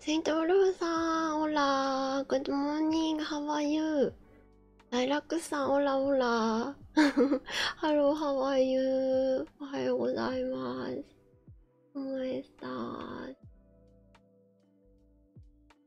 セントウルフさん、オラー、グッドモーニング、ハワイユー。ライラックスさん、オラオラー。ハロー、ハワイユー。おはようございます。お前さん。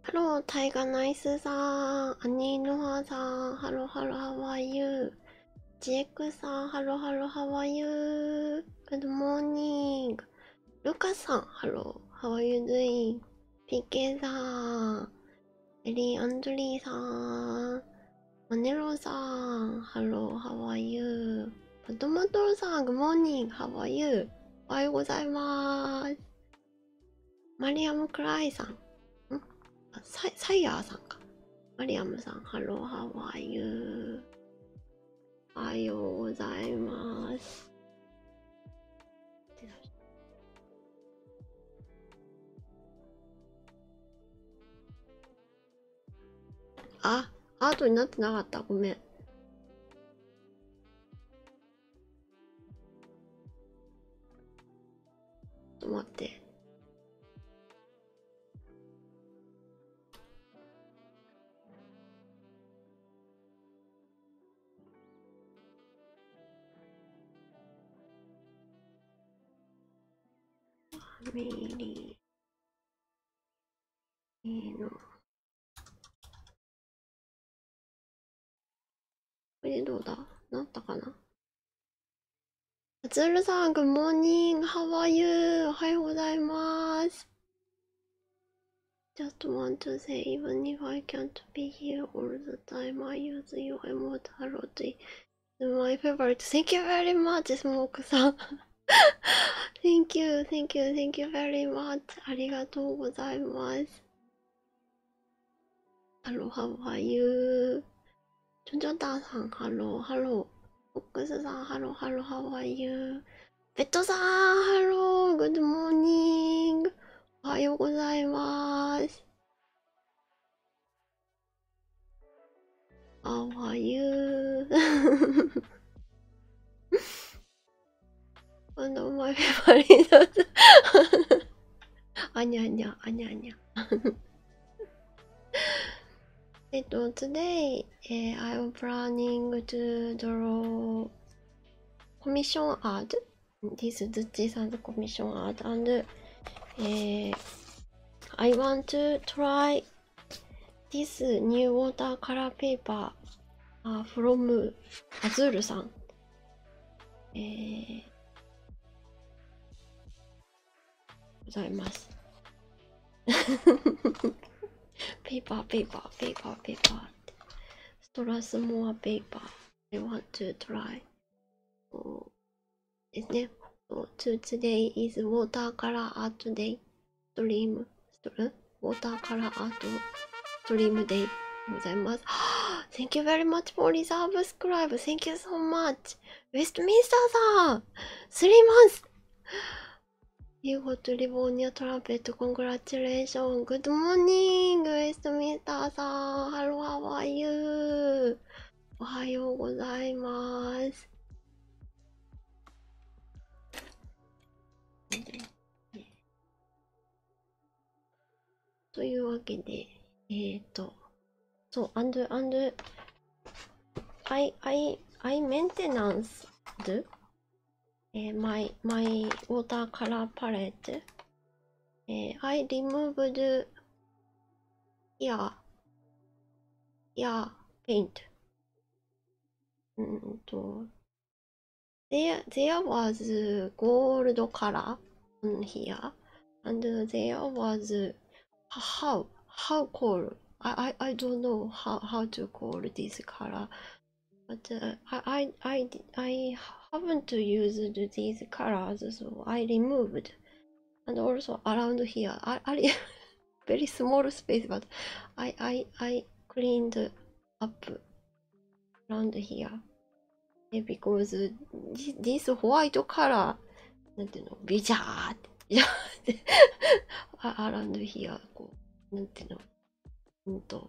ハロー、タイガナイスさん。アニーノハさん。ハロー、ハロー、ハワイユー。ジエクさん。ハロー、ハロー、ハワイユー。グッドモーニング。ルカさん。ハロー。ハワイユードイン。ピケさん。エリー・アンドリーさん。マネローさん。ハロー。ハワイユー。パトマトロさん。グモーニング。ハワイユー。おはようございます。マリアム・クライさん。んあサイサイヤーさんか。マリアムさん、ハローハワイユー。おはようございます。あ、アートになってなかった。ごめん。と思って。あ、ァミリーのこれどうだなったかなアツールさん、グッモーニング、ハワイユー、おはようございます。Just want to say, even if I can't be here all the time, I use your emote a lot. It's my favorite. Thank you very much, Smoke さん。thank you, thank you, thank you very much. ありがとうございます。ハローハワイユー。ジョジョダーさん、ハロー、ハロー。フックスさん、ハロー、ハロー、ハワイユー。ベッドさん、ハロー、グッドモーニング。おはようございます。ハわゆー。あの、マ イファリーだった。あにゃにゃあにゃにゃえっと today、u I'm planning to draw commission art this Zuchi s a s commission art and、I want to try this new watercolor paper、u from Azul san えー、ございます。ペーパーペーパーペーパーペーパーストラスモアペーパー I want to try ですね。So, to today is water color art day stream する water color art stream day ございます。Thank you very much for reserve subscribe. Thank you so much. ウェストミンスターさん !3 months! You got Livonia Trumpet. Congratulations. Good morning, ウェストミンスターさん !Hello, how are you? おはようございます。というわけで、えっ、ー、と、そう、and, and, I, I, I maintenance do、えー、my, my watercolor palette、えー、I removed here, here paint うんと、there, there was gold color on here. and uh, there was how how call I I I don't know how how to call this color, but uh, I I I I haven't used these colors, so I removed, and also around here I I very small space, but I I I cleaned up around here because this white color なんていうのビジャーってビジャーって around here こうなんていうのうんと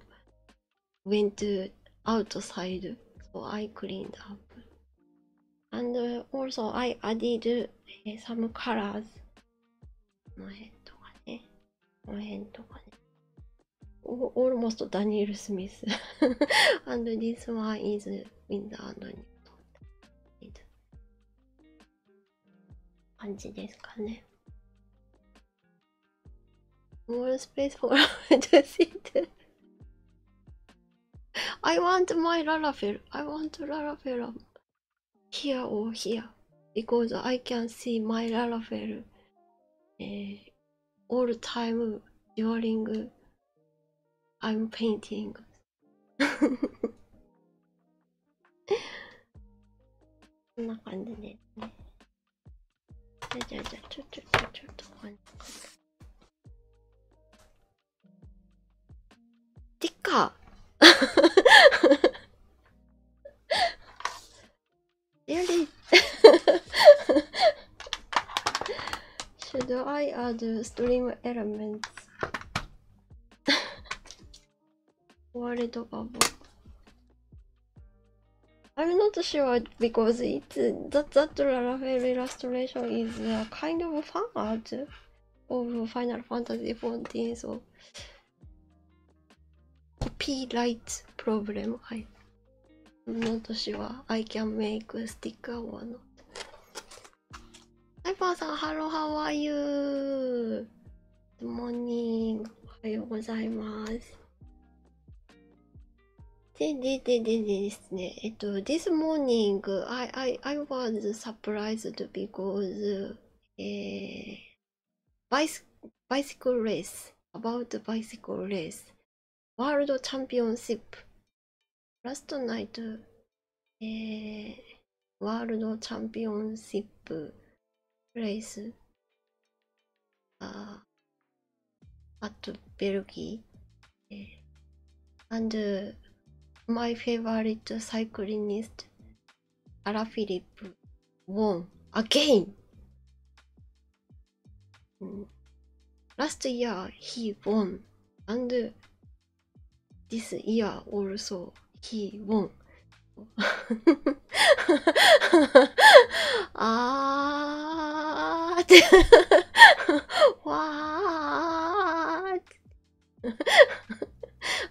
went to outside so I cleaned up and also I added some colors この辺とかねこの辺とかね almost Daniel Smith and this one is Windows にとっている感じですかね。More space for to sit. I want my Laravel. I want Laravel here or here because I can see my Laravel all time during I'm painting. こんな感じですね。じゃあじゃあちょちょちょちょっとこんな感じ。てか Really? Should I add stream elements? World above. I'm not sure because it's that that Laravel illustration is uh, kind of a fan art of Final Fantasy XIV, so copyright problem. I の年は I can make sticker or not サイバーさんハローハワイユーグッモーニングおはようございますででででですねえっと This morning I, I, I was surprised because、えー、bicycle race about bicycle race ワールドチャンピオンシップラストナイトワールドチャンピオンシッププレイスあとベルギー、えー、and、uh, my favorite c y c l アラフィリップ won a g a i Mm. Last year he won, and this year also he won. あーってわーって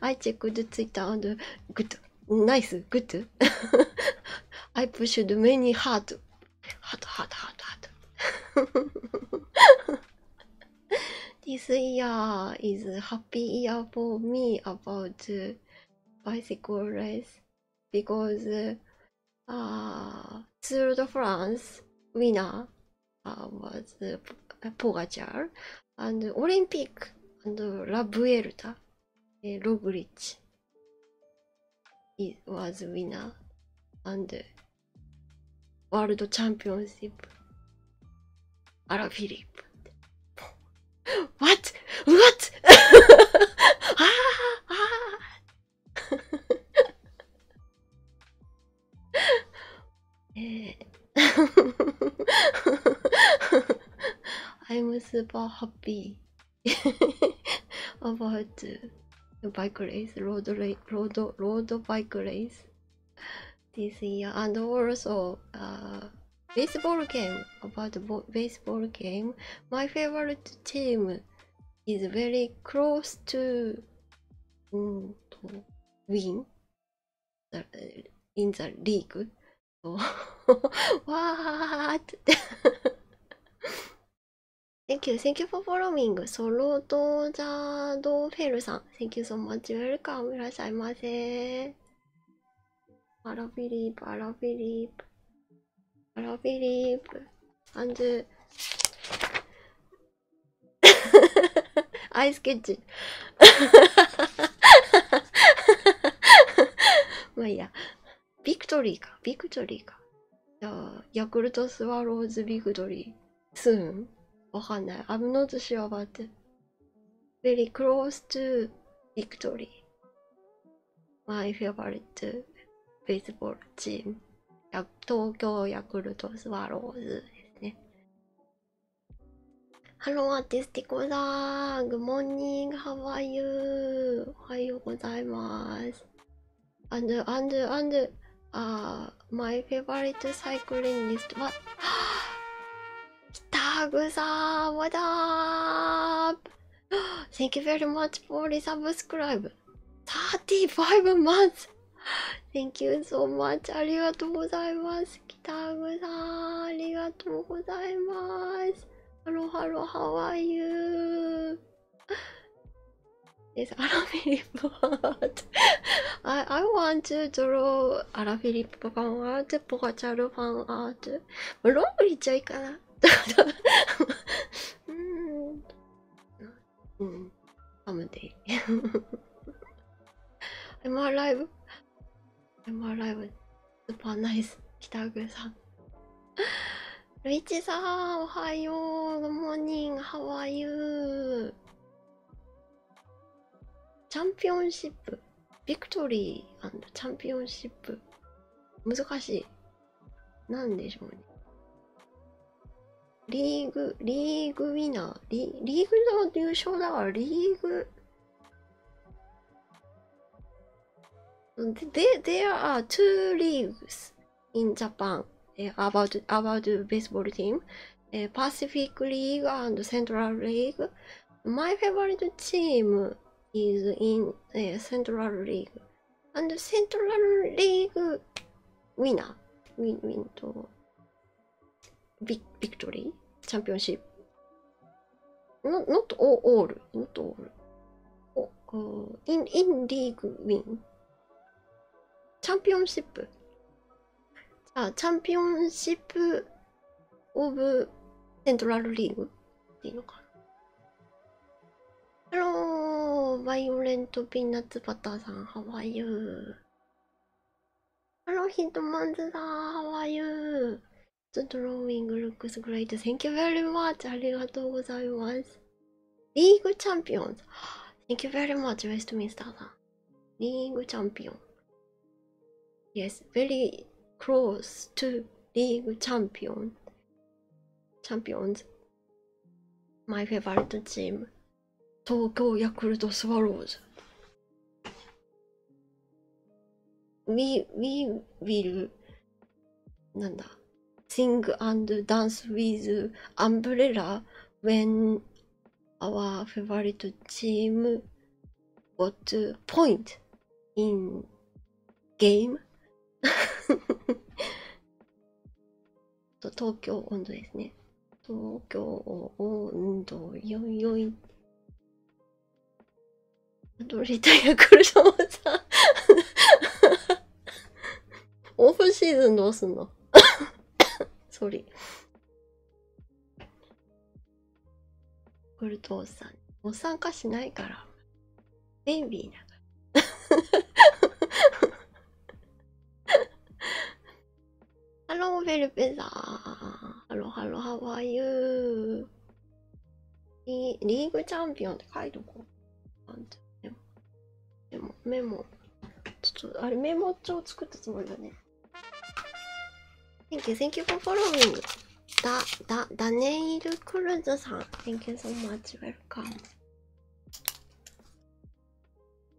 I checked Twitter and good, nice, good. I pushed many hard hot hot hot hot this year is happy year for me about bicycle race because uh, Tour de France winner uh, was uh, Pogacar and Olympic and La Vuelta uh, Roglic it was winner and ワールドチャンピオンシップアラフィリップ What? What? ああええ I'm super happy about The bike race, road, race, road, road bike race this year, and also uh, baseball game. About baseball game, my favorite team is very close to mm, win the, uh, in the league. what? Thank you, thank you for following. ソロドジャードフェルさん。Thank you so much. Welcome. いらっしゃいませ。アラフィリープ、アラフィリープ。アラフィリープ。アラフンズ。アイスケッチ。まあいいや。ビクトリーか。ビクトリーか。じゃヤクルトスワローズビクトリー。スーンわかんない。I'm not sure ベリクロ t it. Very close to victory. My f a v o r i t 東京ヤクルトスワローズですね。ハローアーティスティコさん、グモーニング、ハワイユー、おはようございます。And and and uh, my favorite cycling list. What? 北草 What up? Thank you very much for the subscribe. Thirty five months. Thank you so much. ありがとうございます。北草ありがとうございます。ハロハロ How are you? Is Alaphilippe art? I, I want to draw Alaphilippe fan art, Pogacar fan art. ロングいっちゃいいかな。うん。うん。I'm day. I'm alive. I'm alive. Super nice. 北上さん。ルイチさん、おはよう。グモーニング、ハワイユー。チャンピオンシップ。ビクトリーチャンピオンシップ。難しい。なんでしょうね。リーグ、リーグウィナー。リリーグの優勝だかリーグ。There are two leagues. in Japan uh, about about the baseball team, uh, Pacific League and Central League. My favorite team is in uh, Central League, and Central League winner win win to big victory championship. Not not all, all not all. Oh, uh, in in league win チャンピオンシップじゃあチャンピオンシップオブセントラルリーグっていいのかなハローバイオレントピーナッツバターさんハワイユーハローヒットマンズさん、ハワイユー。e you? The drawing looks great. Thank you very much. ありがとうございます。リーグチャンピオン Thank you very much, Westminster. League champion. Yes, very close to league champion. Champions. My favorite team. Tokyo Yakult Swallows. We we will. なんだ sing and dance with umbrella when our favorite team got point in game と東京温度ですね東京温度44どれだヤクルトもさオフシーズンどうすんのソーリールトおっさんお参加しないからベイビーだからハローベルペザーハロハロハワイユーリーグチャンピオンって書いとこう。なんメモメモちょっとあれメモ帳作ったつもりだね Thank you, thank you for following だだダネイルクルーズさん Thank you so much, welcome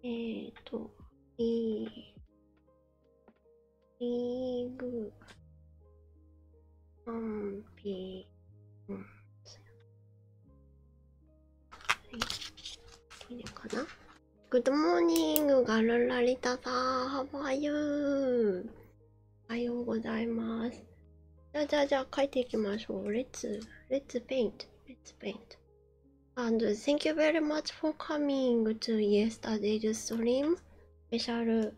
えーとリーリーグアンピーンい、いいのかなグッドモーニングがルラリタさん、ハワイユーおはようございます。じゃあじゃあじゃあ書いていきましょう。Let's, let's paint, let's paint. And thank you very much for coming to yesterday's stream. Special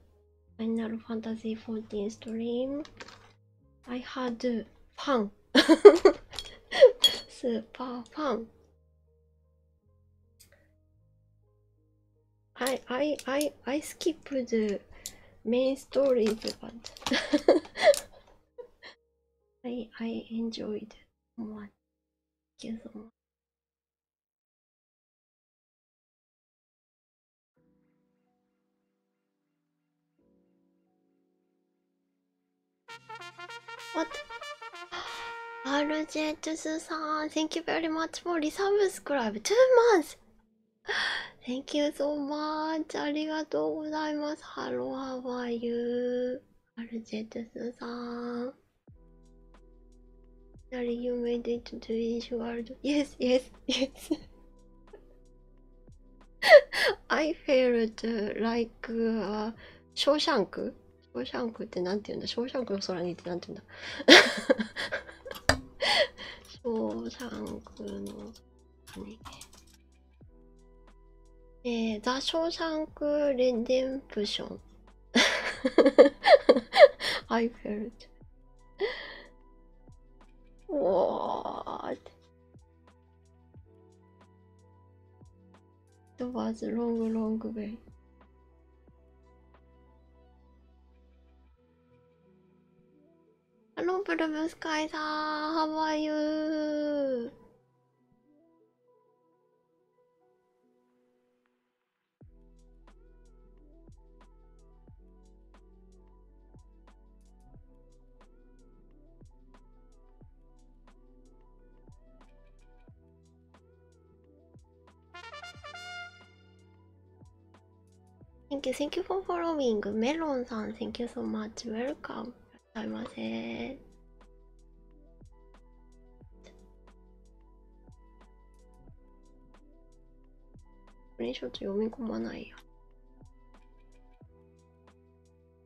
Final Fantasy 14 stream. I had fun. Super fun. I I I I skipped the main stories, but I I enjoyed one. so much. What? RJ2 さん、Thank you very much for resubscribe. Two months! Thank you so much. ありがとうございます。Hello, how are you? RJ2 さん。Sorry, you made it to the issue world. Yes, yes, yes. I failed to like、uh, ショーシャンクショーシャンクってなんて言うんだショーシャンクの空にってなんて言うんだショーシャンクの空に。えー、ザ・ショーシャンク・レデンプション。I felt. おーっ It was a long, long way. Hello, Blue Sky, ah, how are you? Thank you, thank you for following. メロンさん、thank you so much. Welcome. いらっしゃいませ。これちょっと読み込まないや。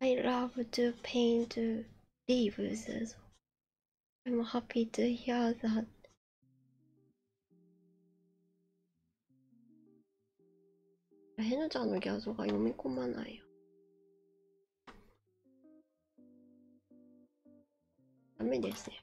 I love to paint leaves as well. I'm happy to hear that. ヘナちゃんの画像が読み込まないよ。ダメですね。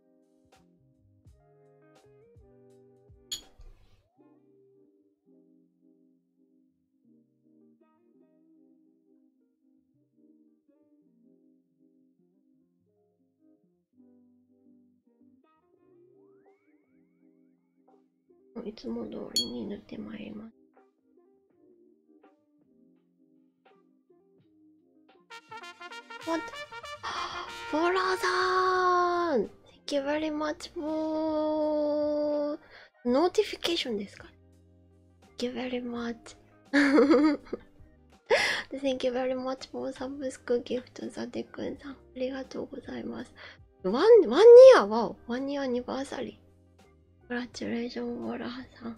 いつも通りに塗ってまいります。What? Bora-san! Thank you very much for notification ですか Thank you very much. Thank you very much for サブスクギフトさてくんさん。ありがとうございます。ワンニアはワンニアアニバーサリー。グラチュレーションボラハさん。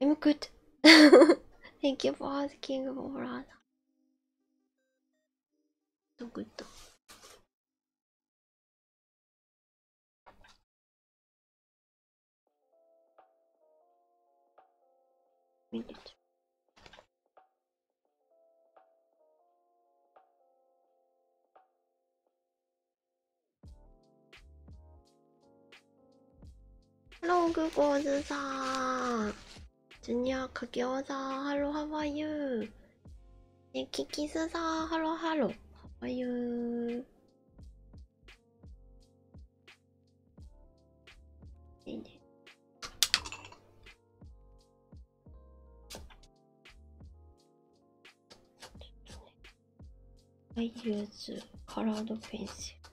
I'm good. Thank you for asking, Morana. So good. Minute. ハローグゴーズさん。ジュニアかけおさん。ハローハワイユー。ね、キキスさん。ハローハロー。ハワイユー。いいね。I use colored pencil.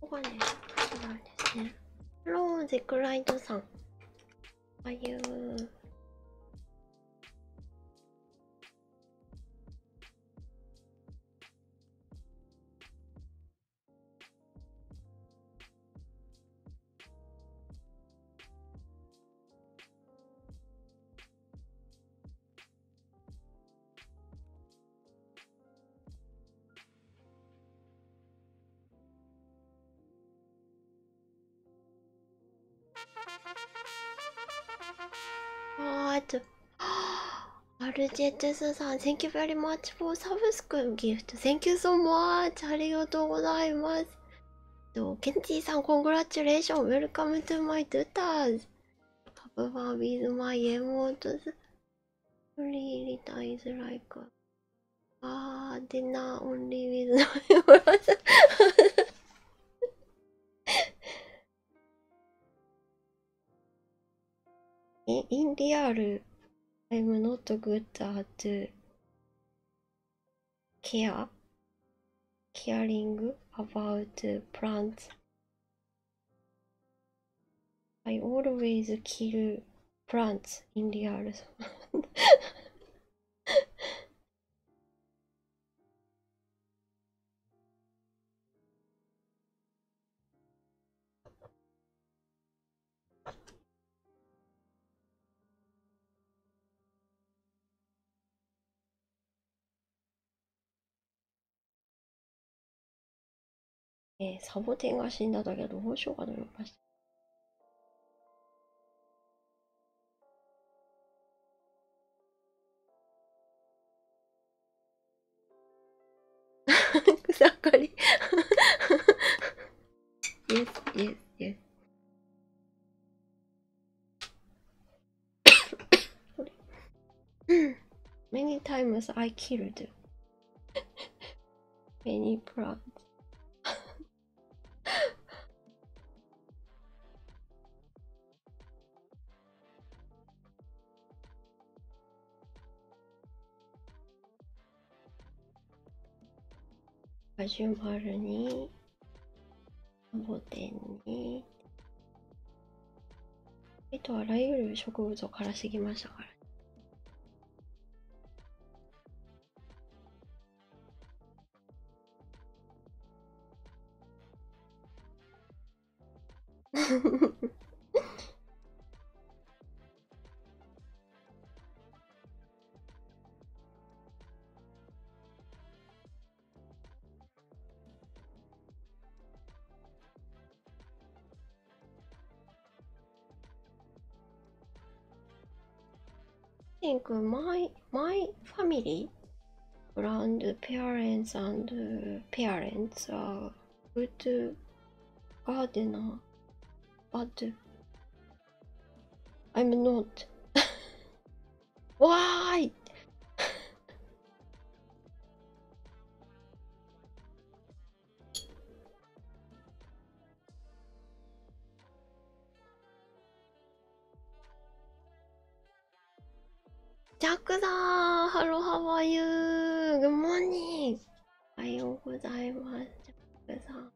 ここがね違うんですねローゼクライトさんああう What? RJTS さん、Thank you very much for subscribe gift. Thank you so much. ありがとうございます。ケンティさん、Congratulations. Welcome to my tutors. タブは with my emotes really dies like ah dinner only with my emotes え、in real I'm not good at care caring about plants I always kill plants in the earth. えー、サボテンが死んだだけどどうしようかと思いました。草刈り yes, yes, Many times I killed many plants. 始まるに、ボテンに。ね。あとあらゆる植物を枯らしてましたから、ね。In my my family, parents and parents are good gardener, but I'm not. Why? ジャックだーハロハワユーグモニーおはようございますジャックさん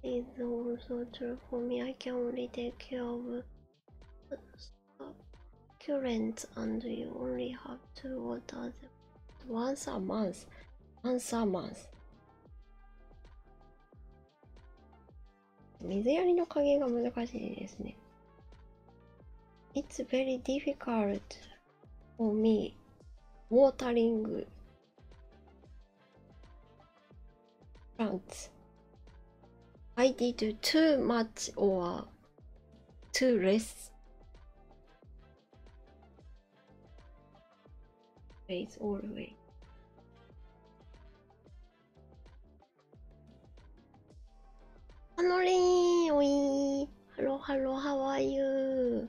Please don't torture for me. I can only take care of the current, and you only have to water them once a month. Once a month. 水やりの加減が難しいですね。It's very difficult for me watering plants. I did too much or too less. a l w a l l the w a y ハノリーおいーハロハロハワイユー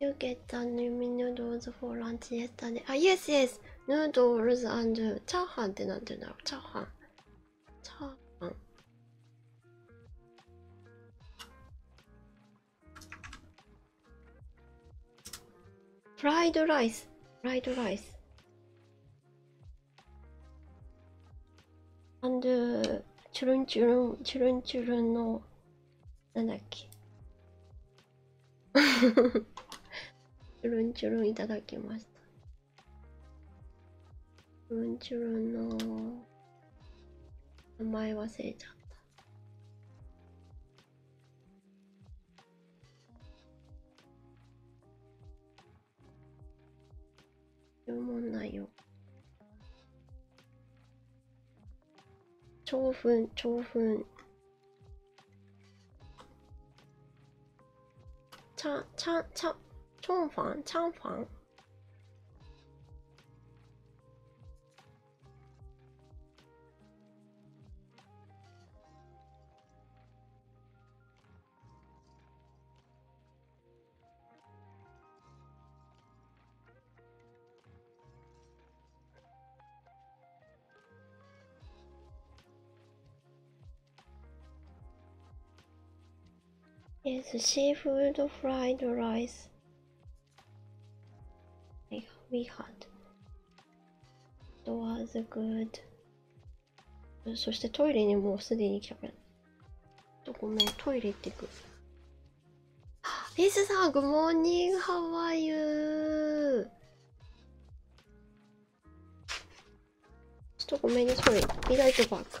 You get the new noodles for lunch yesterday. あ、Yes, yes! Noodles and チャーハンってなんて言うんだろうチャーハン。チャーハン。フライドライス。フライドライス。アンドゥチュルンチュルンチュルンチュルンのなんだっけ チュルンチュルンいただきましたチュルンチュルンの名前忘れちゃった注文内容長文長文チャチャチャチョンファンチャンファン Yes, the seafood, the fried the rice. Like we had. It was good. そしてトイレにもうすでに来たからと、ごめんトイレ行ってくあ、ェイスさんグモーニングハワイユーちょっとごめんねそれリライトバック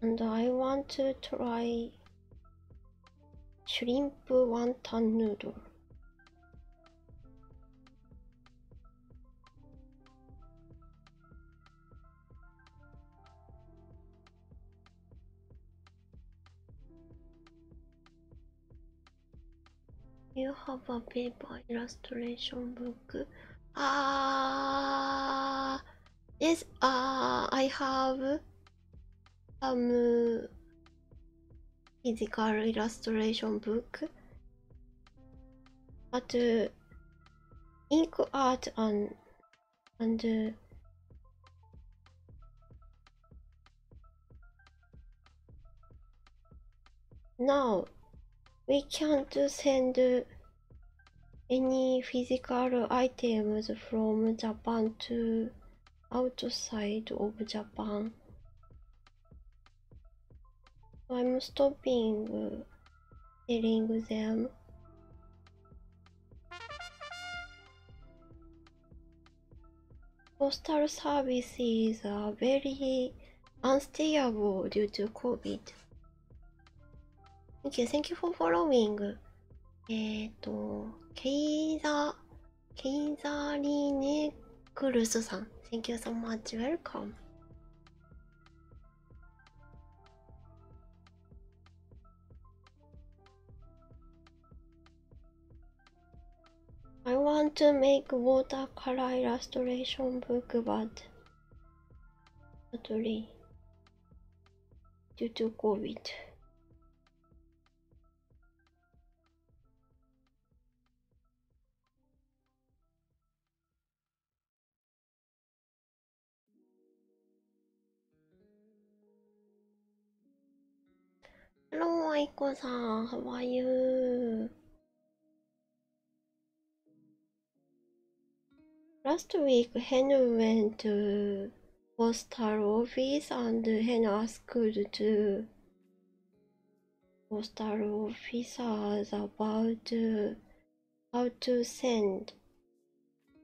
And I want to try shrimp wonton noodle. You have a paper illustration book. Ah, yes. Ah, I have some physical illustration book, but uh, ink art and under no we can't send any physical items from japan to outside of japan i'm stopping selling them Postal services are very unstable due to COVID. Thank you, thank you for following. えっと、ケイザ、ケイザリーネクルスさん。Thank you so much. Welcome. I want to make watercolor illustration book but not due to COVID. Hello, Aiko-san. How are you? Last week, Henu went to postal office and Henu asked to postal officers about how to send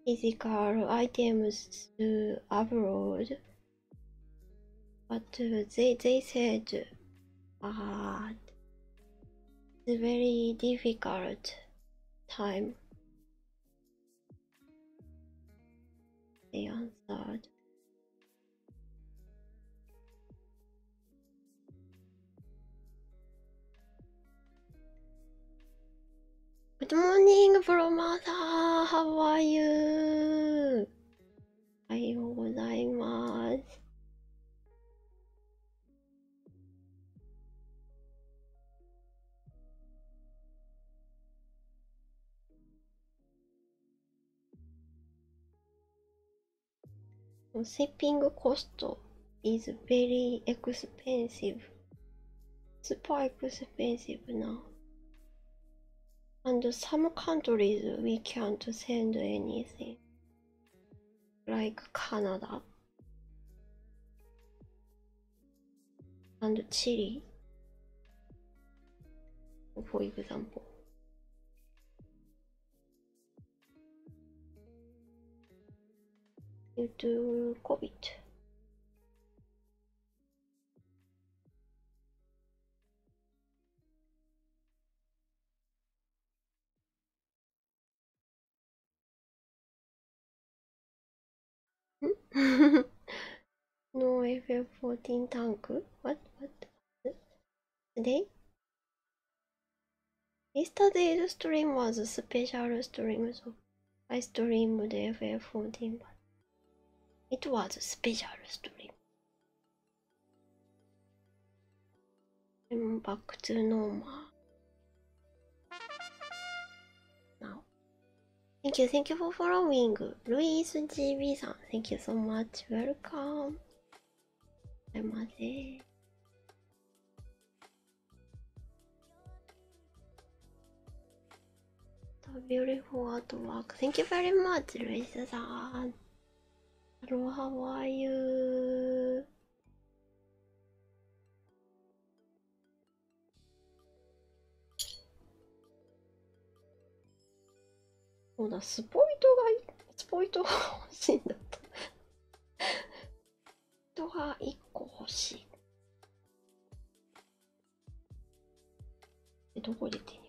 physical items to upload, but they they said, uh, it's a very difficult time. They answered. Good morning, Promaster! How are you? おはようございます。Sipping cost is very expensive. Spike expensive now. And some countries we can't send anything. Like Canada and Chile, for example. Due to COVID. no FF 14 tank. What? What? Today? Yesterday's stream was a special stream, so I streamed FF14, but it was a special stream. back to normal now. Thank you, thank you for following. Louise GB san, thank you so much. Welcome. I'm beautiful artwork. Thank you very much, Luisa-san. Hello, how are you? そうだ、スポイトがいい、スポイトが欲しいんだと。人が1個欲しい。どこ行ってんの？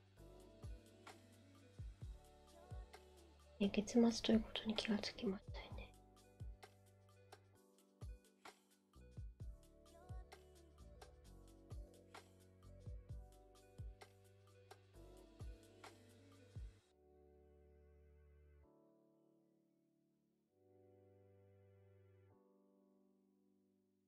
え月末ということに気がつきましたね。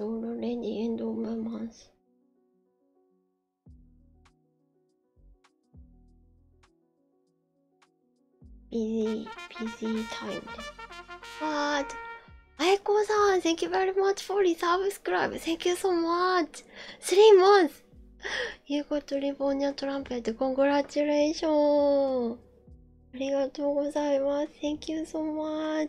already end of my month. Busy, busy time. But, Aiko san, thank you very much for the subscribe. Thank you so much. Three months. You got to Livonia Trumpet. Congratulations. ありがとうございます。Thank you so much.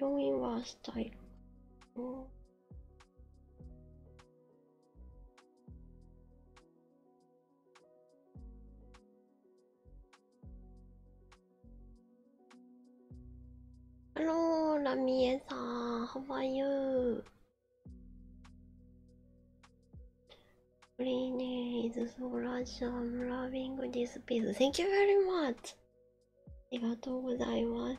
病院はスタイル。Hello, Ramie san, how are you? Green is so large, I'm loving this piece. Thank you very much. ありがとうございます。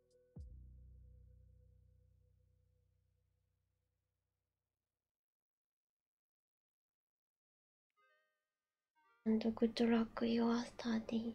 And good luck your study.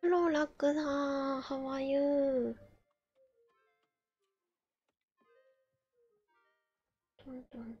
プロラクさん、ハワイユー。トントン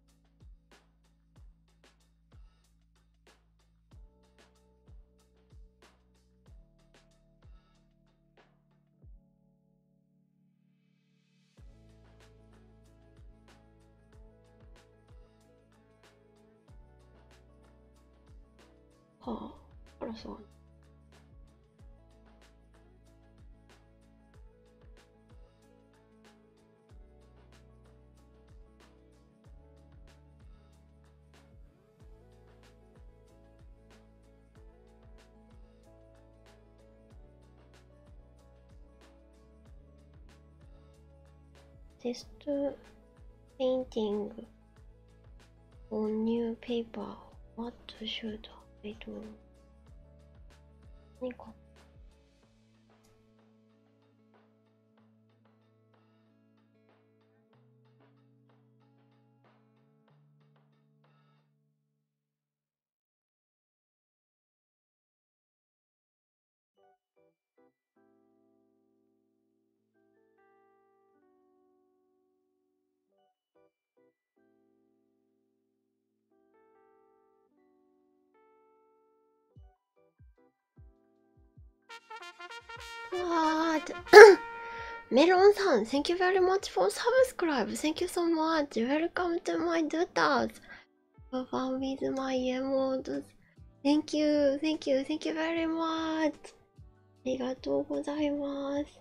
はあ、あらさん。This painting on new paper. What should I do? 何かメロンさん、Thank you very much for subscribe. Thank you so much. Welcome to my doodles. For fun with my emotes. Thank you, thank you, thank you very much. ありがとうございます。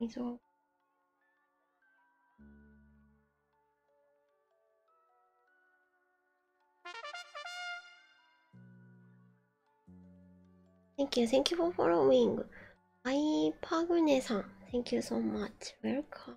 溝 Thank you, thank you for following. I Pagune san, thank you so much. Welcome.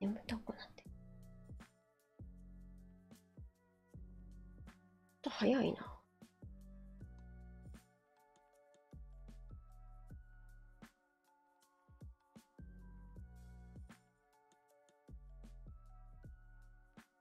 眠たくなってと早いな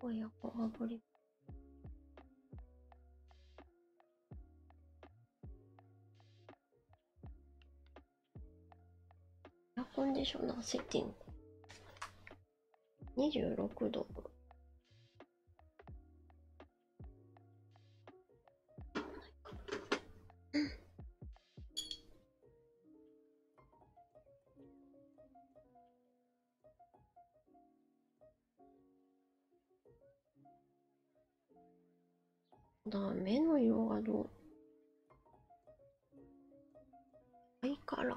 親子あぶり。エアコンディショナーセッティング。26度。だ目の色がどうないから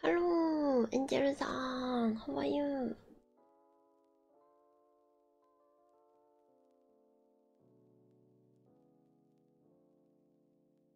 Hello, Angel-san, how are you?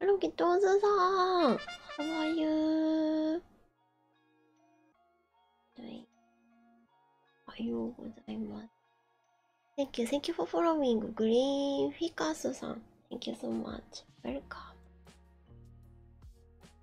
ロキトーズさん How are you? はい。おはようございます。Thank you, thank you for following. グリーンフィカスさん。Thank you so much. Welcome.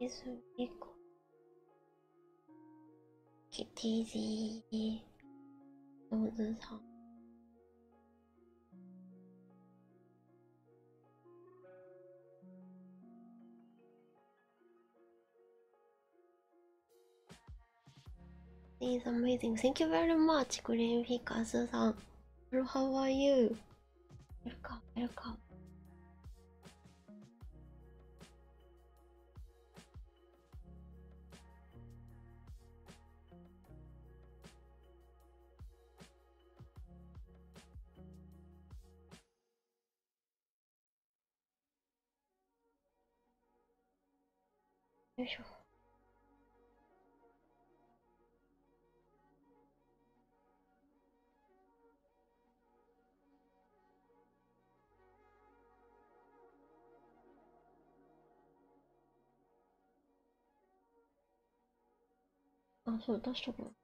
is equal. Get easy all the time. It's amazing. Thank you very much, Green hikazu how are you? Welcome, welcome. よいしょ。あ、そう、出しとくの。ポ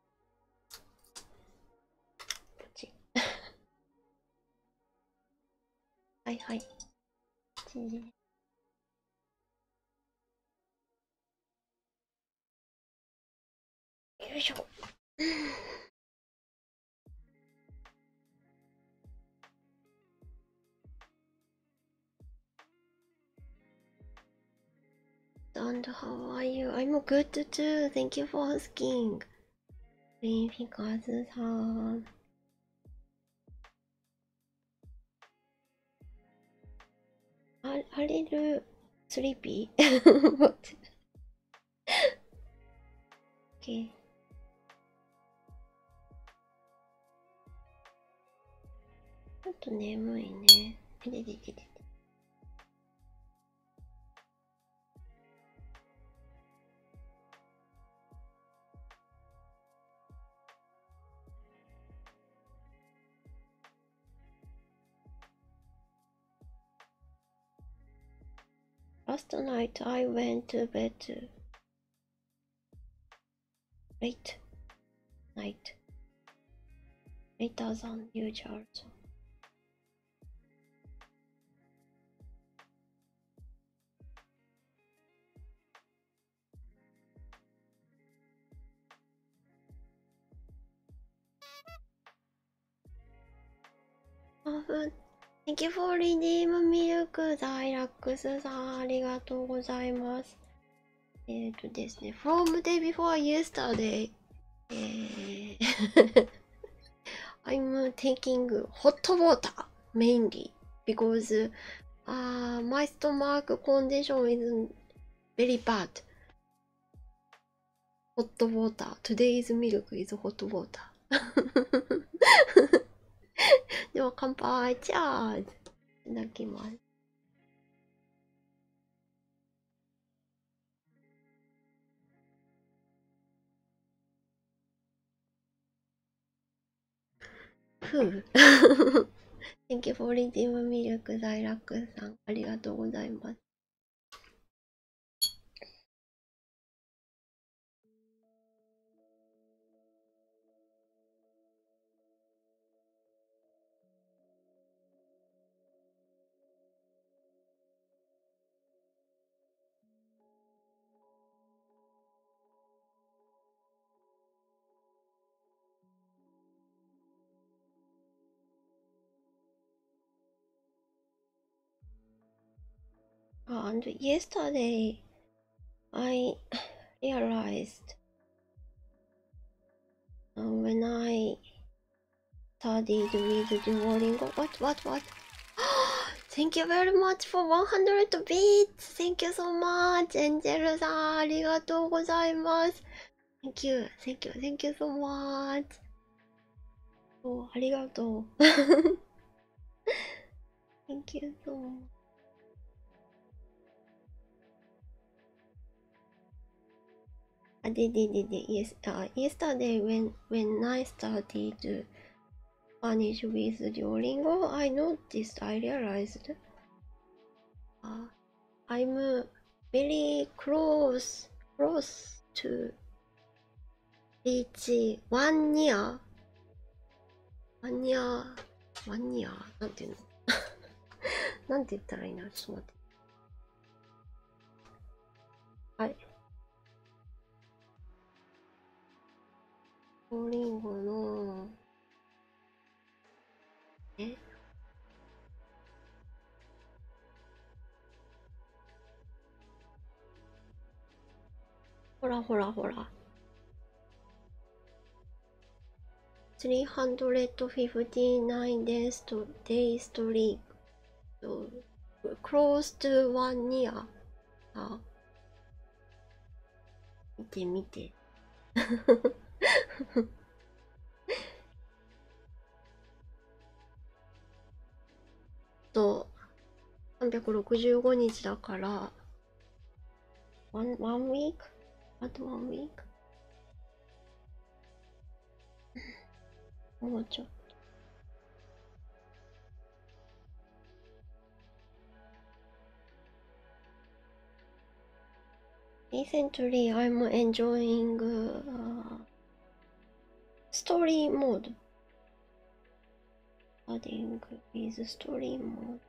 はいはい。チよいしょ。And how are you? I'm good too. Thank you for asking. Because あれるスリーピー持ってちょっと眠いね。Last night I went to bed late night, later than usual. Thank you for redeem milk ザイラックスさんありがとうございます。えっ、ー、とですね、from day before yesterday、えー、I'm taking hot water mainly because、uh, my stomach condition is Very bad. Hot water. Today's milk is hot water. では乾杯チャーズいただきます。ふう Thank you for reading 魅力在楽さんありがとうございます。And yesterday I realized when I studied with Duolingo. What, what, what? Thank you very much for 100 beats! Thank you so much! エンジェルさん、ありがとうございます。Thank you, thank you, thank you so much. Oh, arigato. thank you so much. I ah, did, did, did, did. Yes, uh, yesterday when when I started Spanish with Duolingo, I noticed, I realized uh, I'm very close, close to reach one year. One year, one year. なんていうのなんて言ったらいいなちょっと待って。はい。青りんごのえほらほらほら。359 days to day streak close to one year あ見て見てと、365日だから、one, one week? あと one week? もうちょっと。Recently, I'm enjoying u story mode. Adding i t story mode.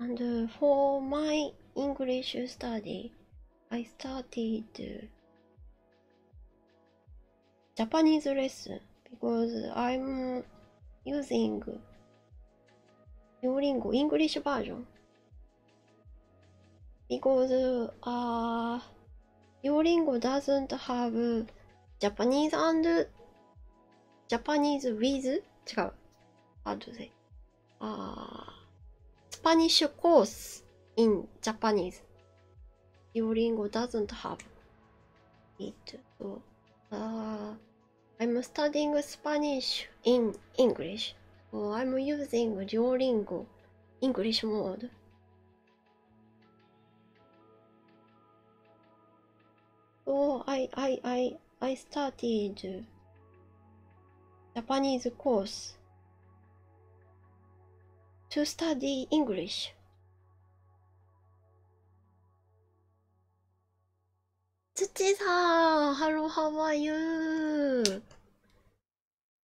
And for my English study, I started Japanese lesson because I'm using Duolingo English version because uh, Your lingo doesn't have Japanese and Japanese with 違う。How do they? あー、Spanish course in Japanese. Your lingo doesn't have it. So, uh, I'm studying Spanish in English. So I'm using Duolingo English mode. おお、I, I, I, I started Japanese course to study English. 土さん、ハローハワイユー。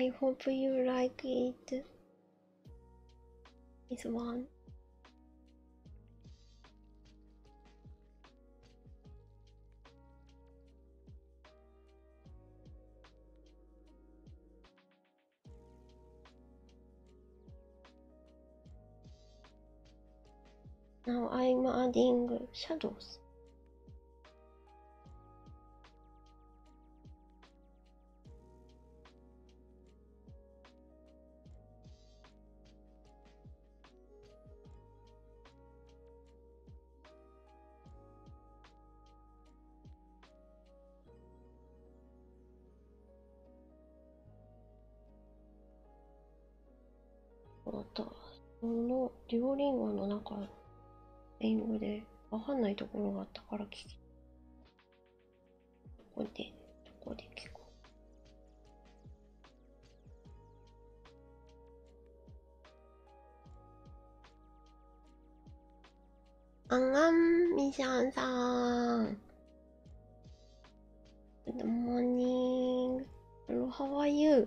I hope you like it. It's one. Now I'm adding shadows また、その、デュオリンゴ英語でわかんないところがあったから聞き。どこで、どこで聞くあんあん、みしゃんさん。Good morning. How are you?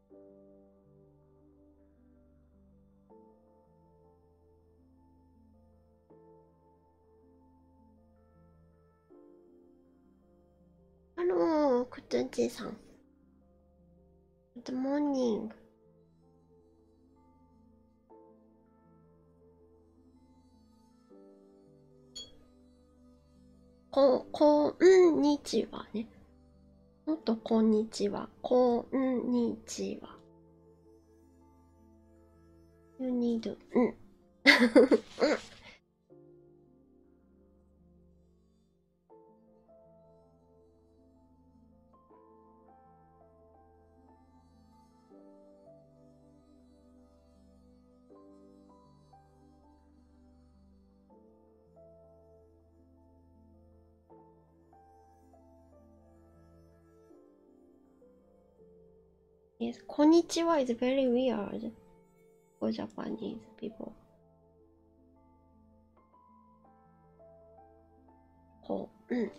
Hello, Kutunji-san. Good morning. こ、こんにちはね。もっとこんにちは。こんにちは。ユニ u need うん。うん Yes, konnichiwa is very weird for Japanese people. Oh. Mm.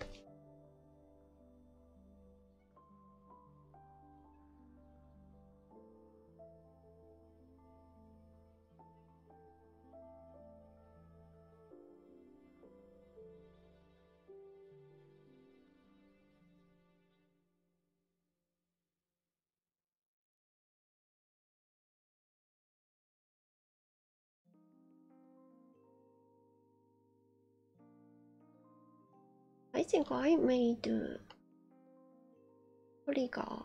I think I made uh, polygon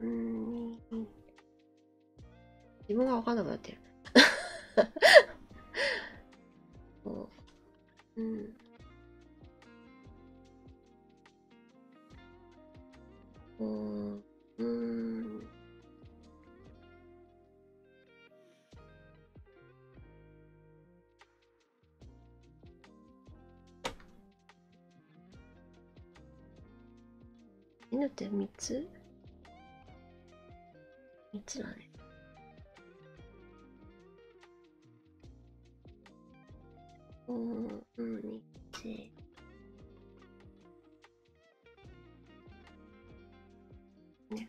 うーん自分が分かんなくなってる ううんうんうん犬って3つ ?3 つだね。おー、うん、1、2、ね。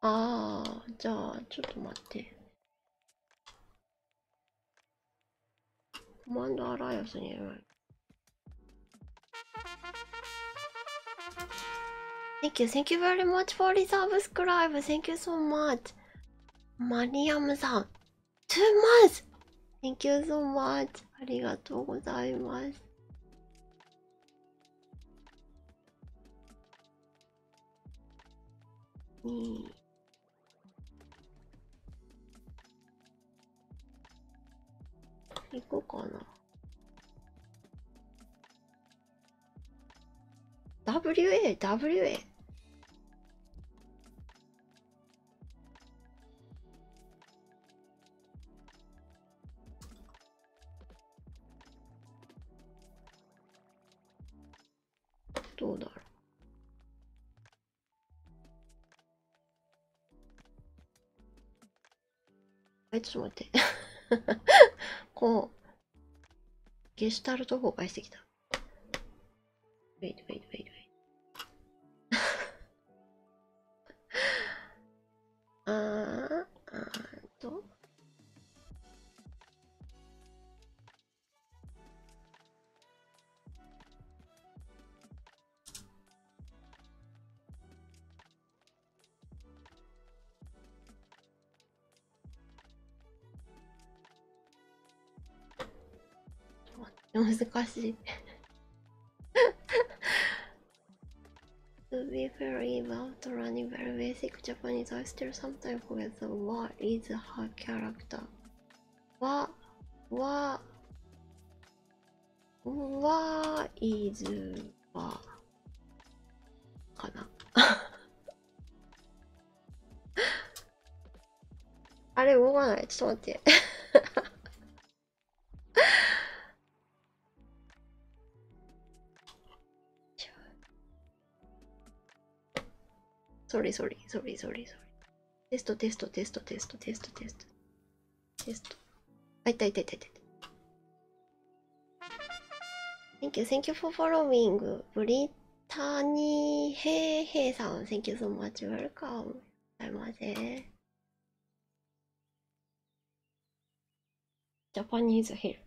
ああ、じゃあ、ちょっと待って。コマンドアライアスにやらない。Thank you, thank you very much for reserve subscribe. Thank you so much. マリアムさん。Two months! Thank you so much. ありがとうございます。うん行こうかな WA、WA。どうだろう。え、ちょっと待って。こう、ゲシュタルト崩壊してきた。ウェイトウェイトウェイトウェイト。あー、あーと。難しい To be fair, Eve, after running very basic Japanese, I still sometimes forget the what is her character. What, what, what is what? かな あれ動かないちょっと待ってソリソリソリソリソリテストテストテストテストテストテストテストあいたい Thank you, thank you for following. Brittany Heihei san, thank you so much. Welcome. ございませジャパニーズヒル。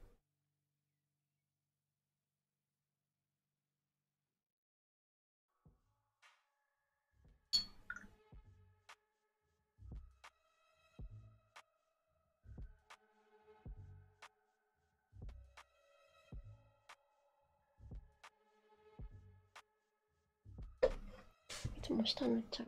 いつも下塗っちゃう。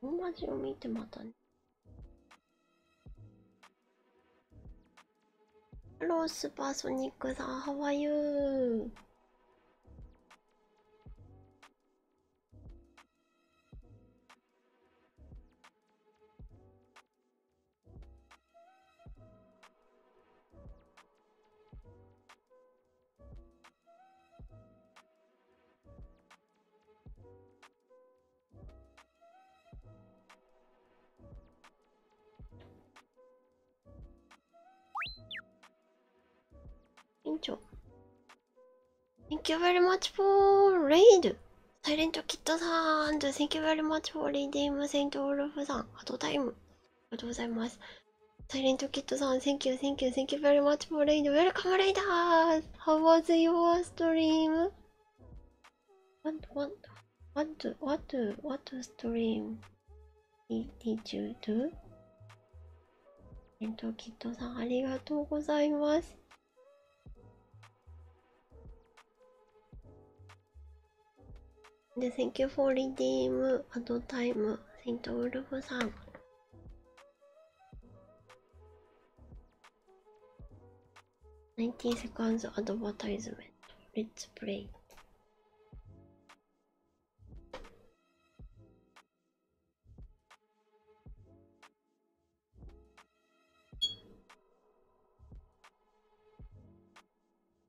大味を見てまたねロースパーソニックさん、ハワイユー Thank you very much for raid! i サイレント t ッ y さん Thank you very much for reading Saint Olaf さん。アドタイム。りがとうございます。サイレントキットさん、Thank you, thank you, thank you very much for rain. Welcome, Raiders! How was your stream? What, what, what, do, what, do, what do stream did, did you do? サイレントキットさん、ありがとうございます。And thank you for redeem at time, Saint Olaf san. Ninety seconds advertisement. Let's play.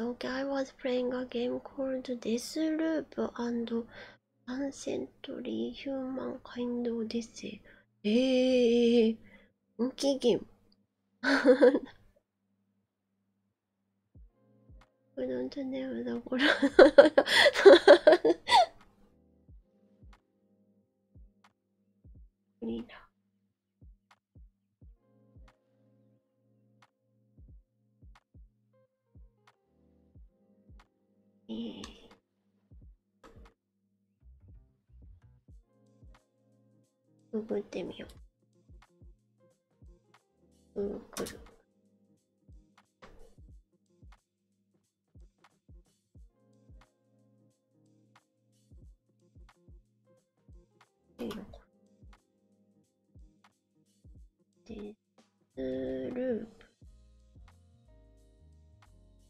Okay, I was playing a game called Deathloop and Ancestry Humankind Odyssey. Hey, monkey game. We don't name the world. Nina. Yeah. くぐってみよう。くぐる。いいデスループ。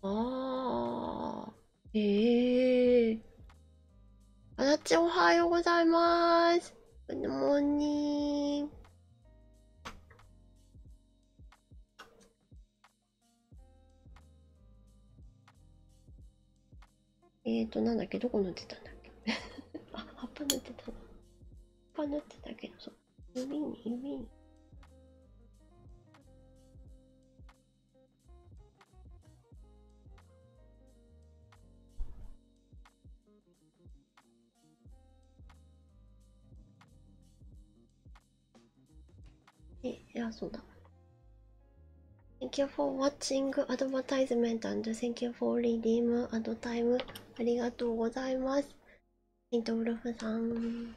ああ、ええあなちおはようございます。グッドモえっ、と、なんだっけ、どこ塗ってたんだっけ。あ、葉っぱ塗ってたな。葉っぱ塗ってたけど、そう。指に、指に。え、偉そうだ。Thank you for watching advertisement and thank you for redeem ad time. ありがとうございます。イントウルフさん。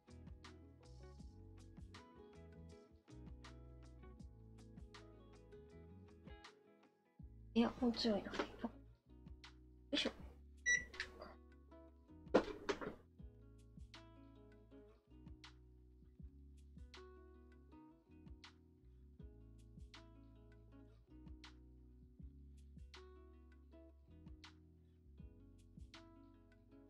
いや、もう強いな。よいしょ。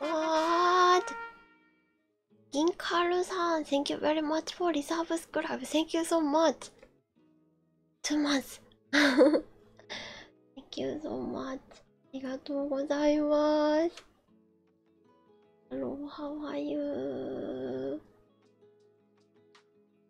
うんわー銀カールさん Thank you very much for reserve subscribe Thank you so much Too much Thank you so much ありがとうございますハローハワイユー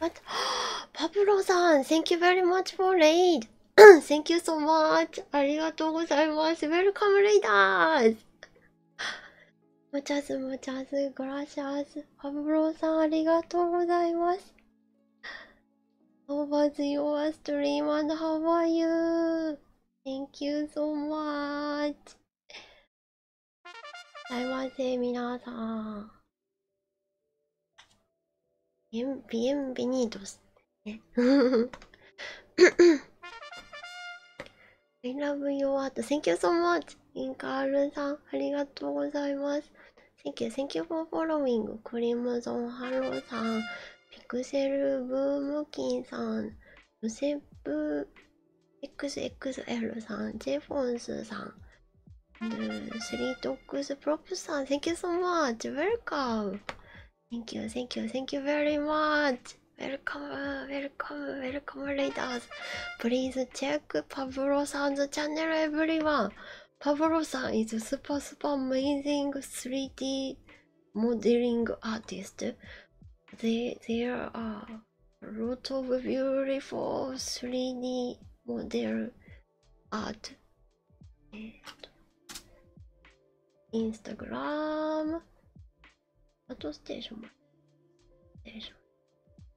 What? Pablo さん Thank you very much for raid! Thank you so much! ありがとうございます Welcome raiders! もちゃすもちゃすグラシャスパブローさんありがとうございます How was your stream and how are you? Thank you so much らいませ皆さんビエンビエンビニードスね I love you what thank you so much インカールさんありがとうございます Thank you thank you for following クリムゾンハローさんピクセルブームキンさんヨセブ XXL さん、J フォンスさん、スリートックスプロプさん、Thank you so much! Welcome! Thank you, thank you, thank you very much! Welcome, welcome, welcome, readers! Please check Pablo さん 's channel, everyone! Pablo さん is a super, super amazing 3D modeling artist. They, they are lot of beautiful 3D model art. Instagram. Auto station. Station.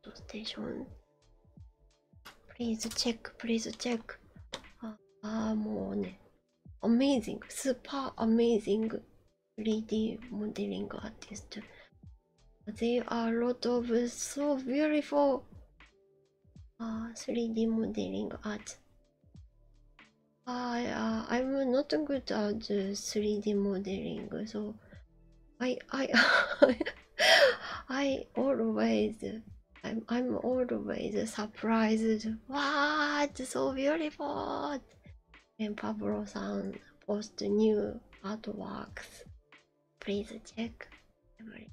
Auto station. Please check. Please check. Ah, ah, more. Amazing. Super amazing. 3D modeling artist. There are a lot of uh, so beautiful 3D uh, modeling art. I uh, I'm not good at 3D modeling, so I I I always I'm I'm always surprised. What so beautiful! And Pablo-san posts new artworks. Please check. Thank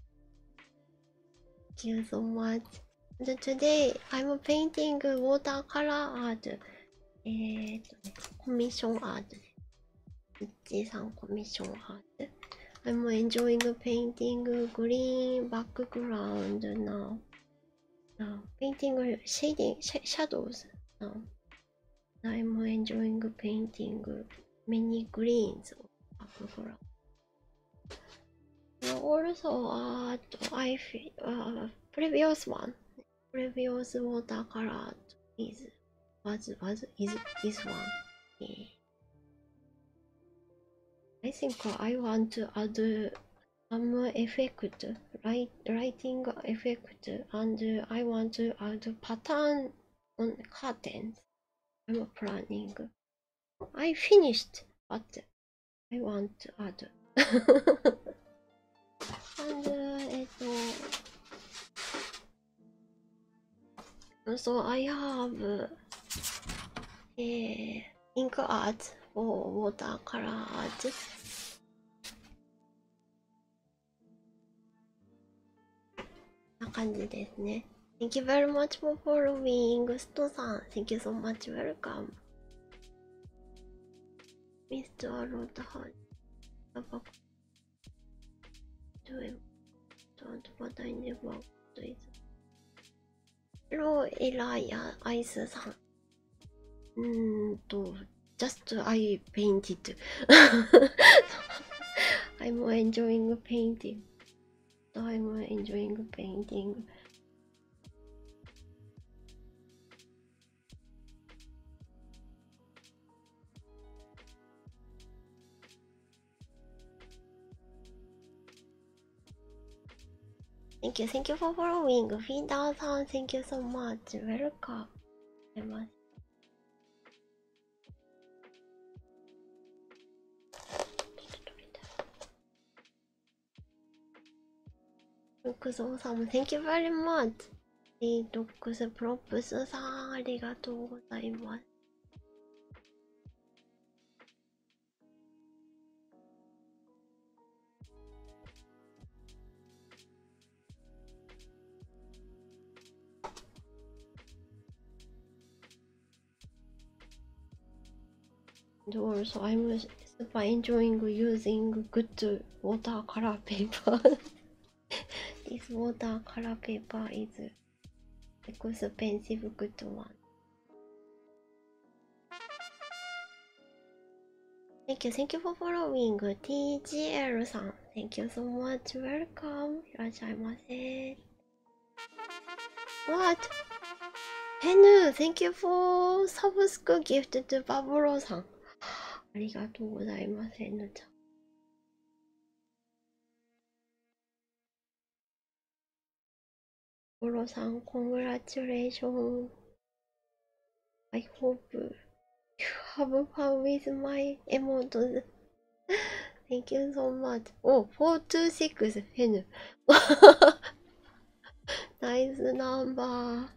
you so much. And today I'm painting watercolor art. えっとね、コミッションアートね。うっちーさんコミッションアート。I'm enjoying painting green background now. Now painting shading sh shadows now. I'm enjoying painting many greens of aquaphora. Also, I uh, previous one, previous watercolor is was was is this one. I think I want to add some effect, right? writing effect and I want to add pattern on curtains. I'm planning. I finished, but I want to add. and uh, so I have uh, ink art or watercolor な感じですね。Thank you very much for following. us to s トさん、Thank you so much. Welcome. Mr. Roadhouse. Don't but I never do it. Hello, Eli. アイさん。うーんと、just uh, I painted. I'm enjoying painting. I'm enjoying painting. Thank you, thank you for following. Feed thank you so much. Welcome. ぞうさんも Thank you very much! リードックスプロップスさんありがとうございます。door so I'm super enjoying using good watercolor paper this watercolor paper is expensive good one Thank you, thank you for following TGL さん Thank you so much, welcome いらっしゃいませ What? Henu, thank you for subscribe gift to Baburo さんありがとうございます、Henu ちゃんバブロさん、コングラチュレーション I hope you have fun with my emotes. Thank you so much. Oh, 426 N. nice number.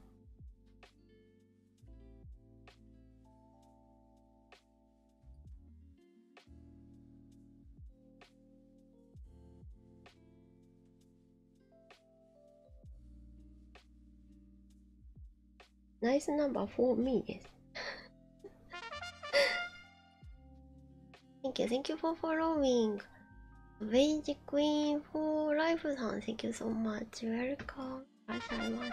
ナイスナンバー for me です。Thank you, thank you for following. Vage Queen f Life さん、Thank you so much. Welcome. いらっしゃいませ。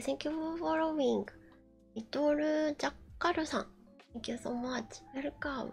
Thank you, for following. リトルジャッカルさん、Thank you so much. Welcome.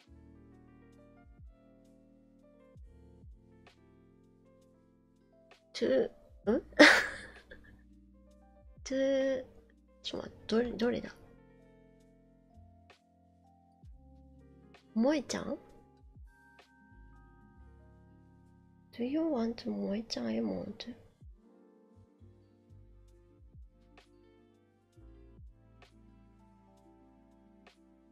to ん to ちょっと待ってどれどれだ萌ちゃん Do you want to 萌ちゃん I want to?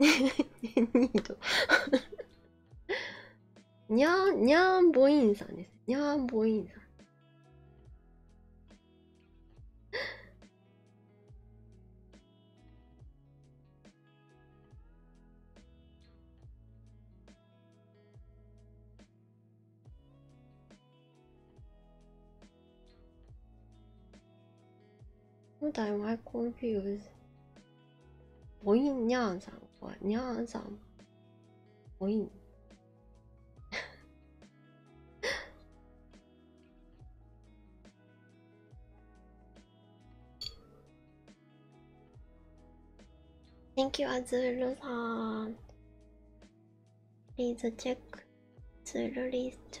ニートにゃーにゃんぼいんさんですにゃーんぼいんさん Sometimes I confuse. 我印酿上，我酿上，我印。Thank you, Azuru さん。Please check Azuru list.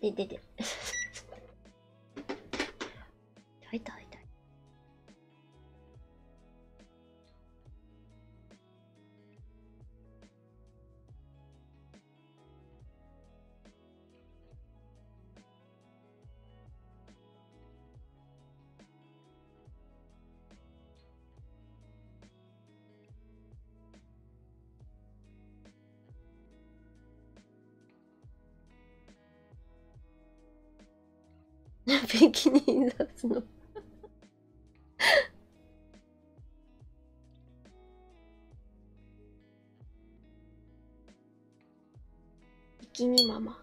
ででで入った入ったな、ビキニ出すのビキニママ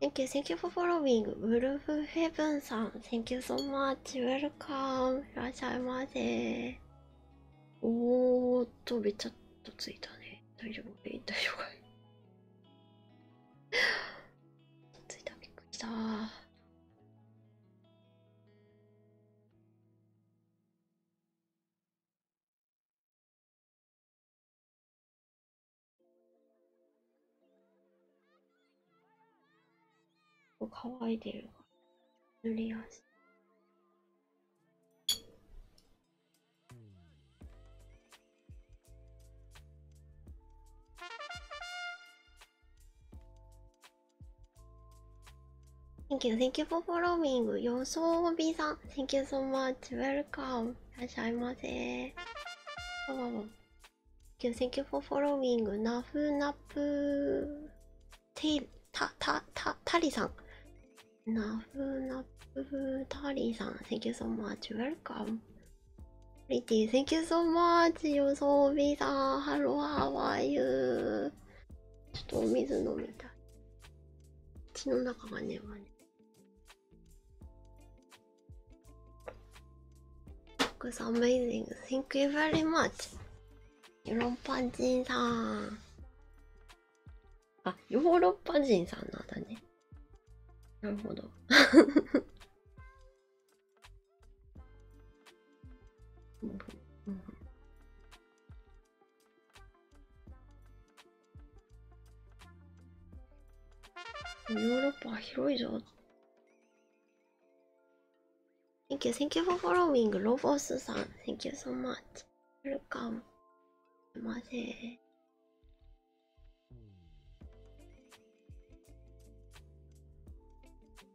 Thank you, thank you for following. Wolf Heaven さん、Thank you so much. Welcome. いらっしゃいませ。おーっと、べちゃっとついたね。大丈夫大丈夫かいついた、びっくりした。乾いてる塗りやすい。Thank you, thank you for following. 予想 B さん、Thank you so much. Welcome. いらっしゃいませ。わわわ Thank you, thank you for following. ナフナプテタタタタリさん。ナフナプタリさん、Thank you so much. Welcome. Pretty, thank you so much! よそびさん、Hello, how are you? ちょっとお水飲みたい。口の中がね、わね。Looks amazing! Thank you very much! ヨーロッパ人さん。あ、ヨーロッパ人さんなんだね。なるほど。ヨーロッパ広いぞ。Thank you, thank you for following. l o ロボ s さん、Thank you so much. Welcome. すいません。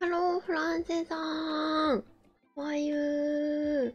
ハローフランセさんおはよう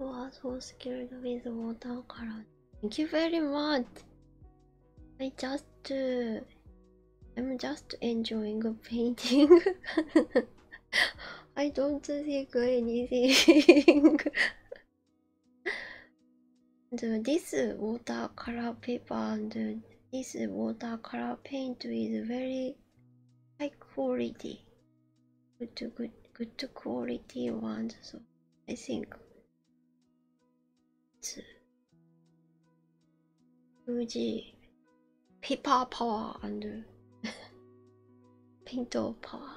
I was so scared with watercolor. Thank you very much. I just, uh, I'm just enjoying painting. I don't think anything. and this watercolor paper and this watercolor paint is very high quality good to good good quality ones so i think it's good, paper power and paint power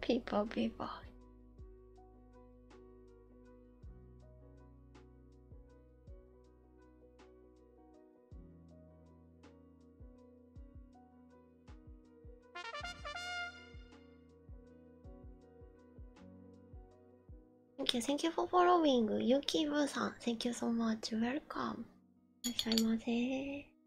ピーパーピーパーセンキュー、センキューフォーフォローウィング、ユーキーブーさん、センキューソーマーチ、ウェルカム。いらっしゃいませ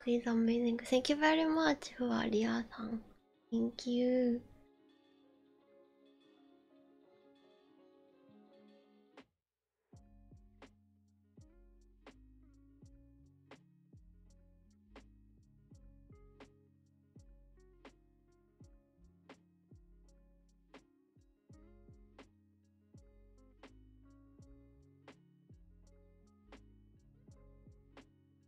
Please amazing. Thank you very much for Ria san. Thank you. あ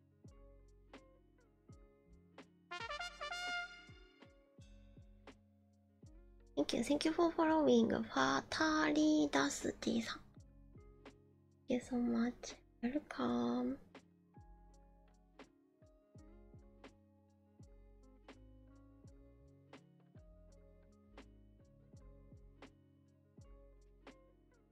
Thank you, thank you for following. ファタリダスティさん。Thank you so much. Welcome.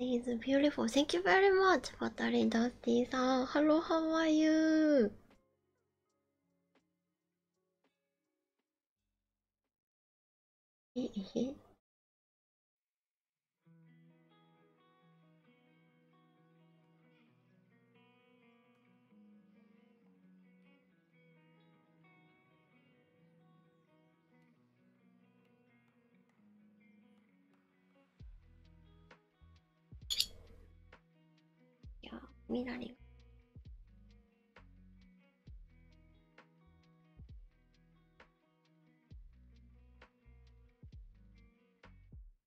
It is beautiful. Thank you very much, Patari Dusty san. Hello, how are you? いや、みなり。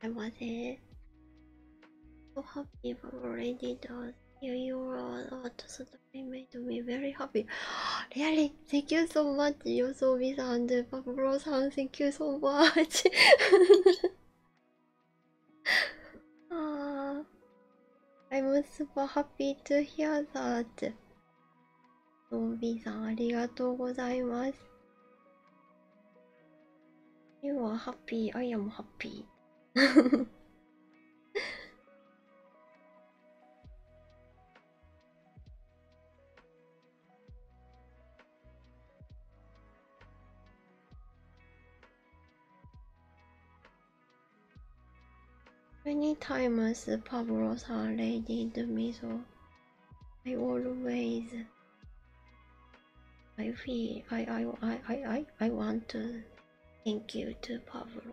customer there. So happy but already does. You, you are also made me very happy. really, thank you so much, Yosobi san and Pablo san. Thank you so much. ah, I'm super happy to hear that. のんびーさんありがとうございます。You are happy, I am happy. Many times the pub are laid in the middle. I always I feel I I I I I, I want to thank you to Pablo.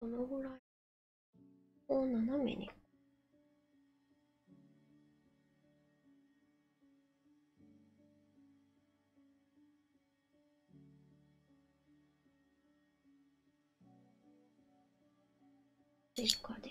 このぐらいを斜めに追加で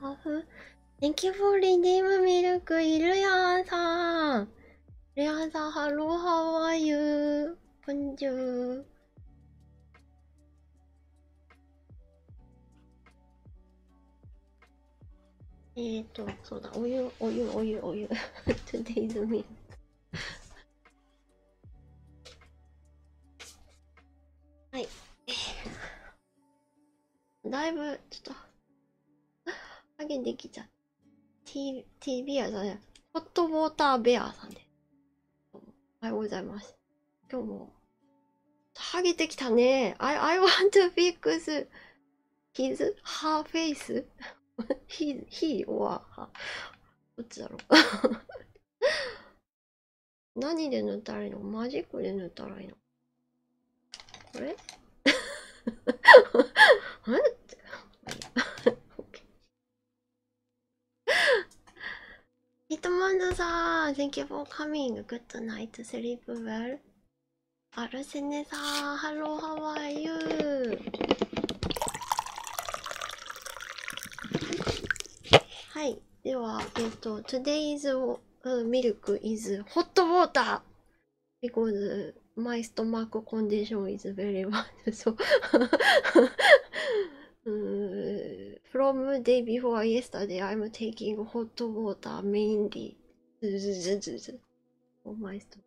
ハフ Thank you for redeem milk, イルヤさん。ルヤさん、ハロー、ハワイユー、ポンジュー。えっと、そうだ、お湯、お湯、お湯、お湯。Today's m i はい。だいぶ、ちょっと、影できちゃう。T、T ビアさんね。ホットウォーターベアさんで、おはようございます。今日も、ハゲてきたね。I, I want to fix his, her face. he, he or her どっちだろう何で塗ったらいいのマジックで塗ったらいいのこれあれってヒットマンドさん Thank you for coming Good night sleep well アルセネさん Hello how are you はいではえっと Today's milk is hot water because my stomach condition is very bad so from day before yesterday I'm taking hot water mainly ずずずずず for my stomach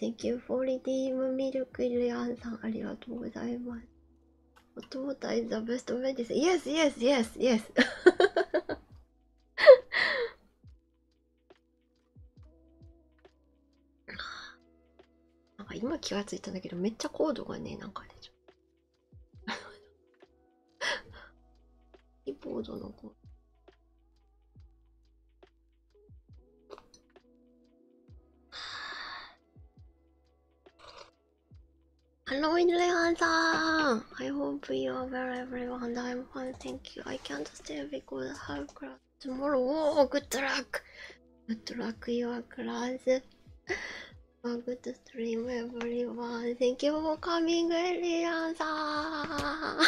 Thank you for redeem milk, Lian さん、ありがとうございます。お父さん、the best medicine. Yes, yes, yes, yes. なんか今気がついたんだけど、めっちゃコードがね、なんかね、 이쁘죠, 너거 I hope you are well, everyone. I'm fine, thank you. I can't stay because how class tomorrow. Oh, good luck. Good luck, your class. A oh, good stream, everyone. Thank you for coming, Elian さん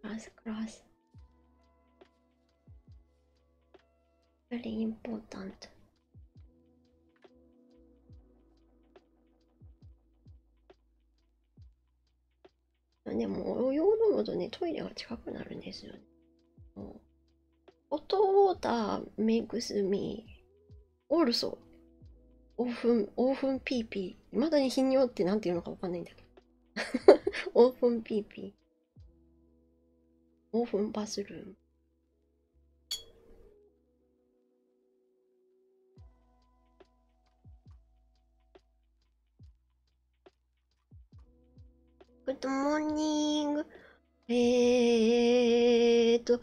Cross, cross. Very important. Yeah, でも、お用のとね、トイレが近くなるんですよね。What water makes me also オーフン、オーフンピーピー。いまだに頻尿ってなんていうのかわかんないんだけど。オーフンピーピー。オーフンバスルーム。Good morning! えーと、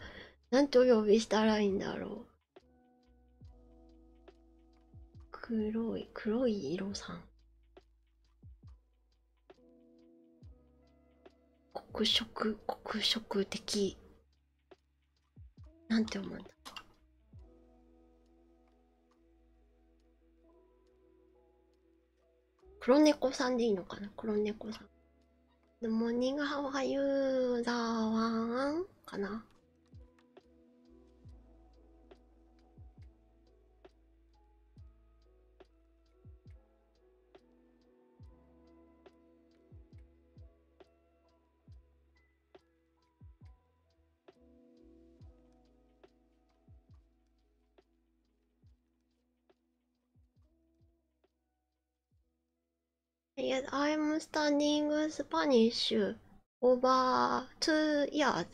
何んてお呼びしたらいいんだろう。黒い、黒い色さん。黒色、黒色的。なんて思うんだ黒猫さんでいいのかな黒猫さん。The morning, how are you? だわんかな Yes, I'm studying Spanish over two years.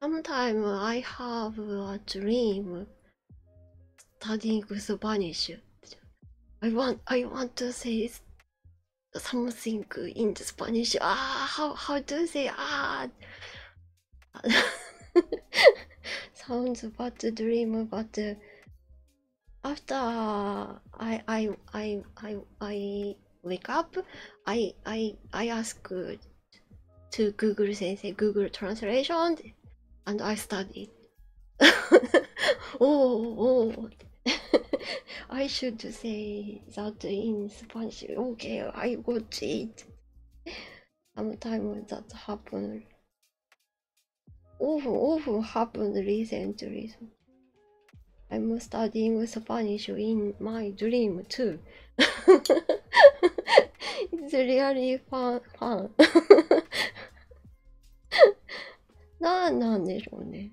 Sometimes I have a dream studying Spanish. I want I want to say something in the Spanish. Ah, how how do they ah? Sounds about the dream about the. Uh, after I I I I I wake up, I I I ask to Google Sensei Google translation, and I study. oh oh! I should say that in Spanish. Okay, I got it. Sometimes that happened. Often, often happened recently. I'm studying Spanish in my dream too. it's really fun. fun. なんなんでしょうね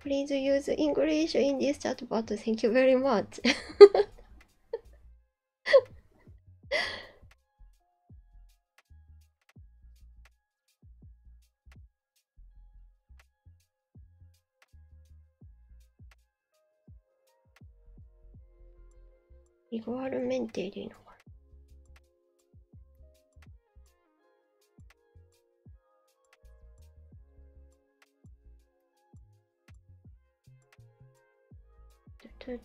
Please use English in this chat bot. Thank you very much. イゴアルメンテでいいのかな Du,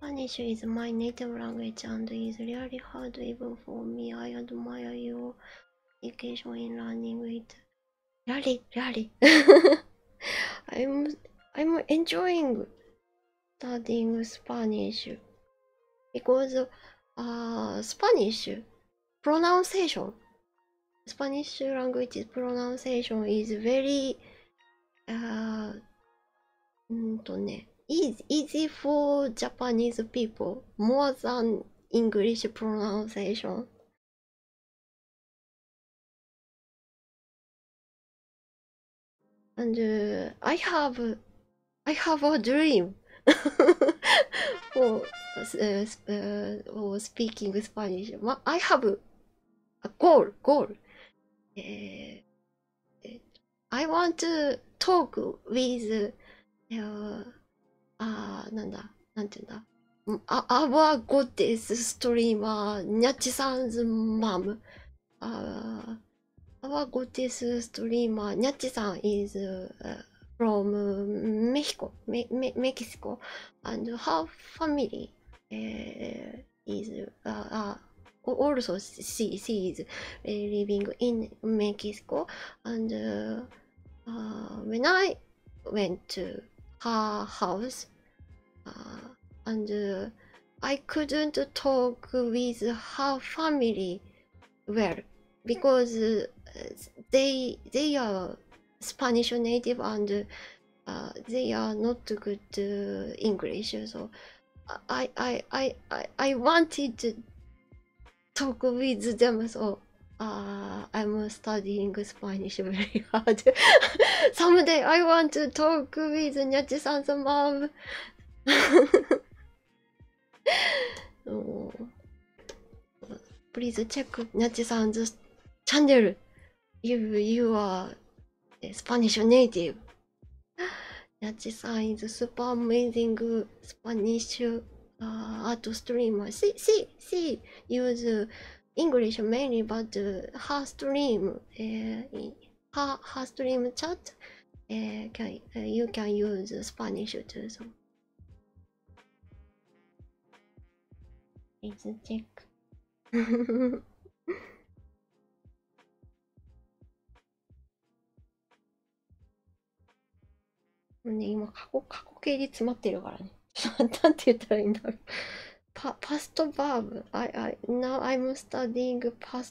Spanish is my native language and is really hard even for me. I admire your education in learning it. Really, really. I'm I'm enjoying studying Spanish because uh, Spanish pronunciation Spanish language pronunciation is very uh, んとね easy, easy for Japanese people more than English pronunciation and uh, I have I have a dream for uh, uh, or speaking Spanish. I have a goal goal. Uh, I want to talk with uh, uh, nanda, our goddess streamer nyachi mom uh, our GOTIS streamer Nyachi-san is uh, from Mexico, Me Me Mexico, and her family uh, is uh, uh, also she, she is uh, living in Mexico, and uh, uh, when I went to her house uh, and I couldn't talk with her family well because uh, they they are Spanish native and uh, they are not good uh, English so I I I I I wanted to talk with them so uh, I'm studying Spanish very hard. Someday I want to talk with Nyachi-san's Please check Nachi-san's channel if you are Spanish native. Nachi-san is super amazing Spanish uh, art streamer. See, see, see, use English mainly, but her stream uh, her, her stream chat. Uh, can, uh, you can use Spanish too. So. Let's check. ね、今過去、過去形で詰まってるからね。なんて言ったらいいんだろう。パ、パストバーブ。I, I, now I'm studying past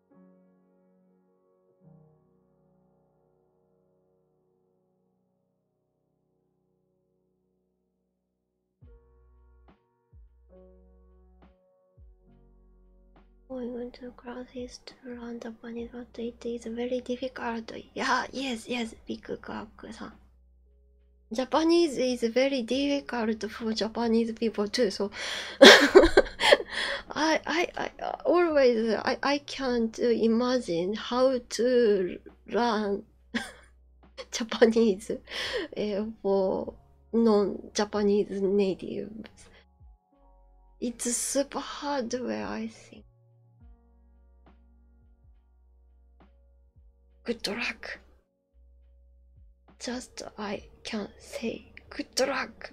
We're Going to cross east around the bunny road, it is very difficult. Yeah, yes, yes, big clock-san. Japanese is very difficult for Japanese people too, so I I I always I I can't imagine how to learn Japanese eh, for non-Japanese natives. It's super hardware, I think. Good luck. Just I can say good luck.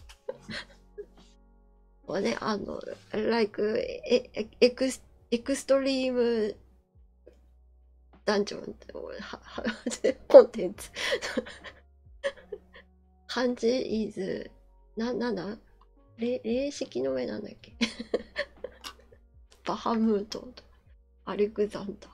は ね、あの、ライ k e エエクスエクストリームダンジョンってコンテンツ。漢字イズ、な、なんだ霊式の上なんだっけバハムート、ンと、アレクザンダー。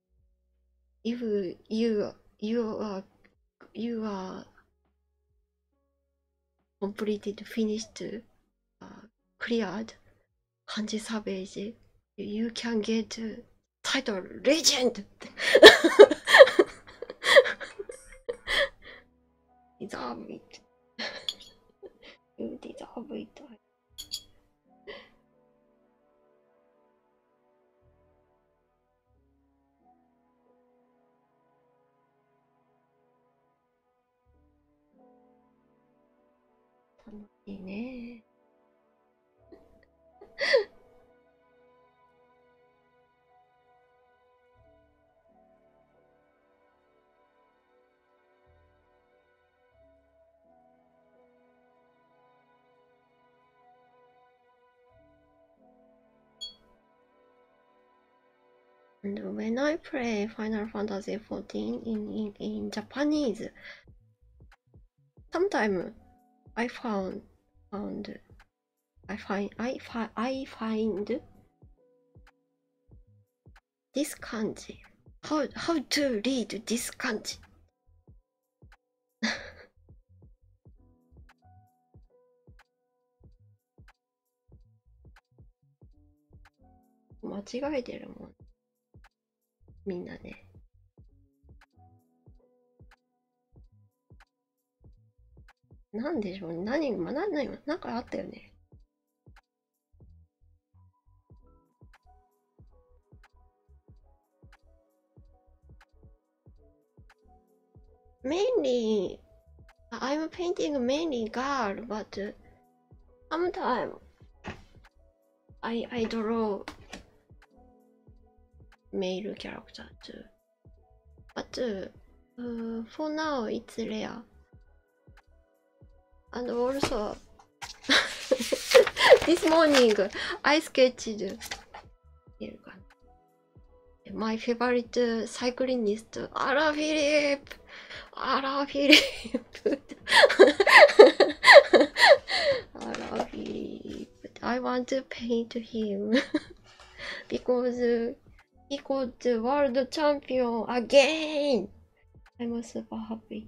if you you are you are completed finished uh, cleared kanji savage you can get title legend deserve it you deserve it 楽しいね。And when I play Final Fantasy XIV in, in, in Japanese, sometimes I found found I find I find this kanji. How how to read this kanji? 間違えてるもんみんなねなんでしょう何が何何何かあったよね mainly I'm painting mainly girl, but sometimes I I draw male character too. But uh, for now it's rare. And also, this morning I sketched っていう感じ。My favorite cyclist, アラフィリップアラフィリップアラフィリップ I want to paint him because he got the world champion again! I'm super happy.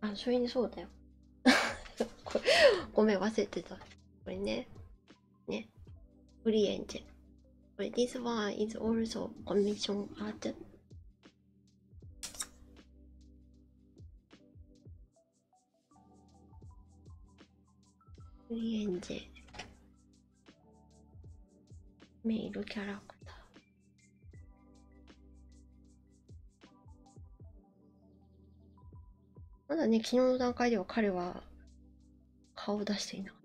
あ、それにそうだよ。ごめん、忘れてた。これね。ね。フリーエンジェ。これ、This one is also commission art. オリエンジェ。メイドキャラクター。まだね、昨日の段階では彼は顔を出していなかった。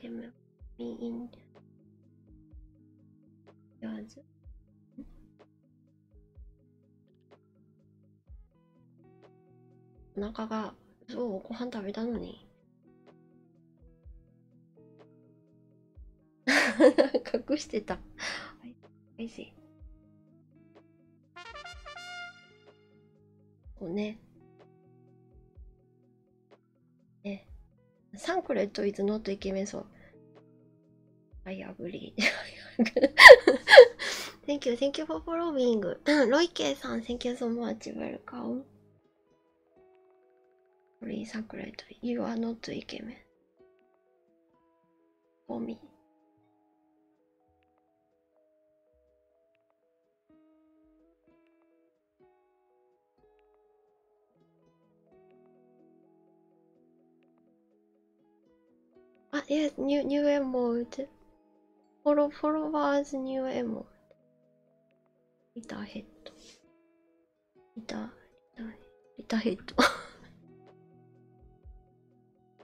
でも、みん。e i う g yours. お腹がそうご飯食べたのに 隠してたおいしいこうね。ね。サンクレットイズノットイケメンそう。I agree. thank you, thank you for following. ロイケイさん、thank you so much. Welcome. Please, sacred. You are not イケメン。For me. Ah yes, new new emote. Follow followers new emote. Little head. Little little little head.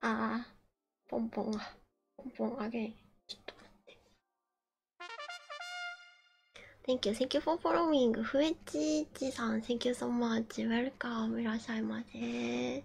ああ、ポンポンが、ポンポンあげん。ちょっと待って。Thank you, thank you for following. ふえちちさん、thank you so much. Welcome. いらっしゃいませ。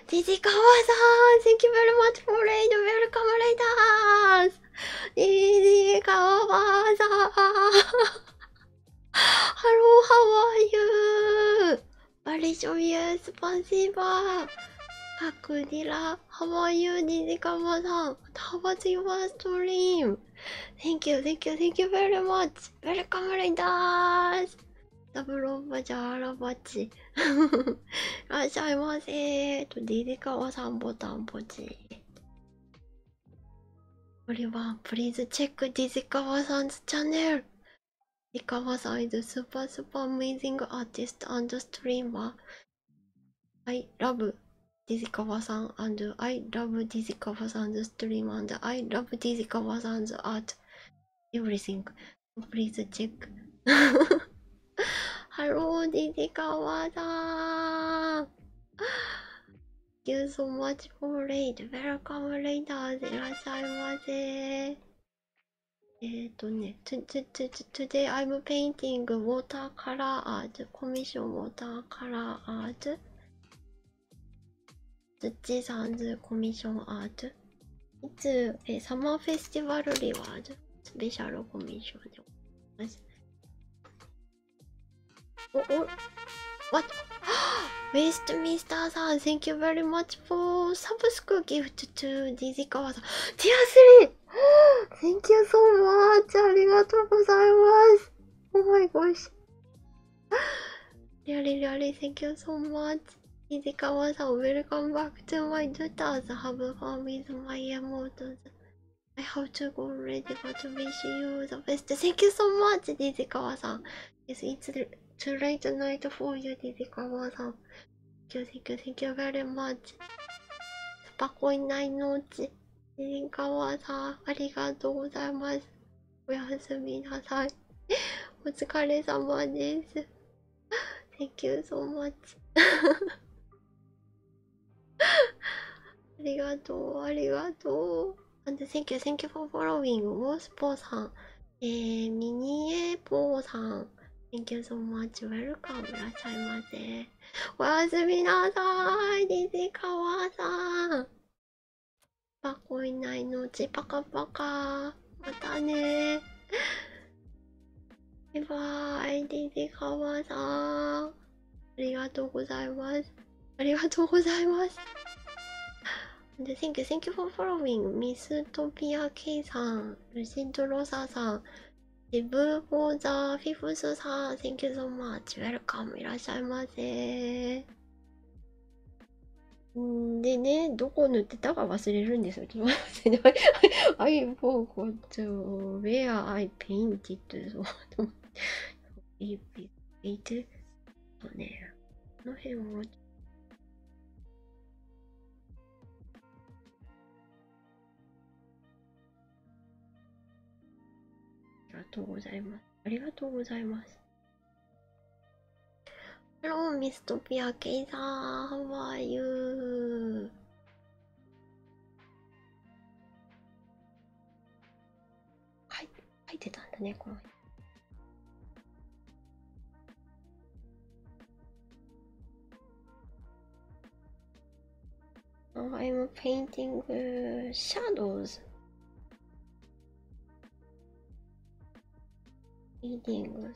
ジカワさん Thank you very much for raid! Welcome, raiders! ジジカワさん Hello, how are you? バリショミュースパンシーバーカクディラ How are you? ジジカワさん How was your stream? Thank you, thank you, thank you very much! Welcome, raiders! ダブルオバジャーラバチいらっしゃいませーとデデカワさんボタンポチこれはプリーズチェックデデカワさんズチャンネルデデカワさん is a super super amazing artist and streamer I love ディジカバさん and I love ディジカバさん s stream and I love ディジカバさん s art everything Please check. Hello, Didikawada. Thank you so much for late. Welcome later. いらっしゃいませ。えっとね、Today I'm painting watercolor art, commission watercolor art. 土さんずコミッションアートいつえサマーフェスティバルリワーズスペシャルコミッションでございますおお What? w e s t m i s t e r さん Thank you very much for subscribe gift to Dizzy 川さん Tier 3! Thank you so much! ありがとうございます Oh my gosh! Really, really, thank you so much! Izikawa san, welcome back to my daughters. Have fun with my emotes. I have to go ready, but wish you the best. Thank you so much, Izikawa san. Yes, it's too late tonight for you, Izikawa san. Thank you, thank you, thank you very much. パコいないのうち。リンカワさん、ありがとうございます。おやすみなさい。お疲れ様です。Thank you so much ありがとうありがとう And thank you thank you for following モスポーさんえー、ミニエポーさん Thank you so much welcome いらっしゃいませおやすみなさい西川さんパコいないのちパカパカまたねバイディディカワさん。ありがとうございます。ありがとうございます。Thank you, thank you for following. ミストピア K さん、ルシントロサさん、デブフォーザフィフスさん、Thank you so much. Welcome. いらっしゃいませ。んでね、どこ塗ってたか忘れるんですよ。ちょっと待ってね。iPhone こ t う、where I p a i n t e ういいてそうねこの辺もありがとうございます。ありがとうございます。ハロー、ミストピアケイさん、ハワイユー。はい入ってたんだねこの辺。Now I'm painting uh, shadows. Painting.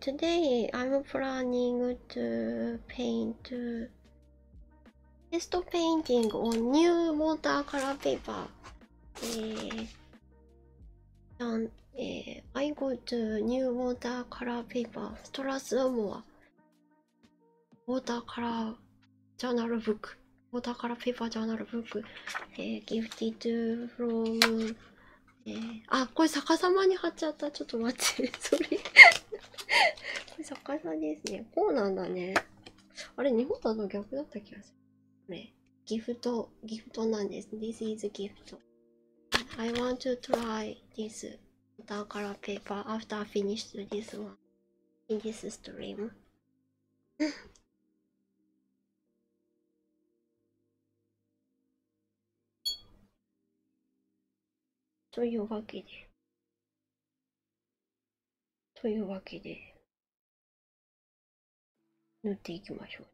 Today I'm planning to paint test painting on new watercolor paper. I go to new watercolor paper, Strasbourg watercolor journal book. タお宝ペーパージャーナルブック、えー、ギフティトゥフロー、えー、あ、これ逆さまに貼っちゃった。ちょっと待って、それ。これ逆さですね。こうなんだね。あれ、日本だと逆だった気がする。これ、ギフト、ギフトなんです。This is gift. I want to try this. タお宝ペーパー after finished this one in this stream. というわけで。というわけで。塗っていきましょ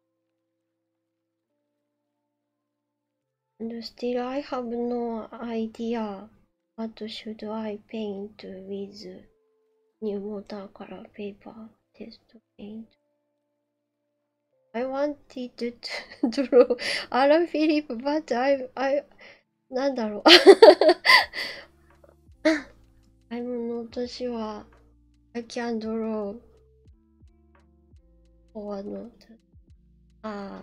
う。And still have no idea What should I paint with new watercolor paper? Test paint. I wanted to draw Alan Philip, but I, I, なんだろう I'm not sure I can draw or not. ああ。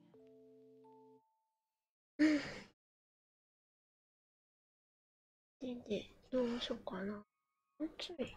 で、で、どうしようかな。うちょい。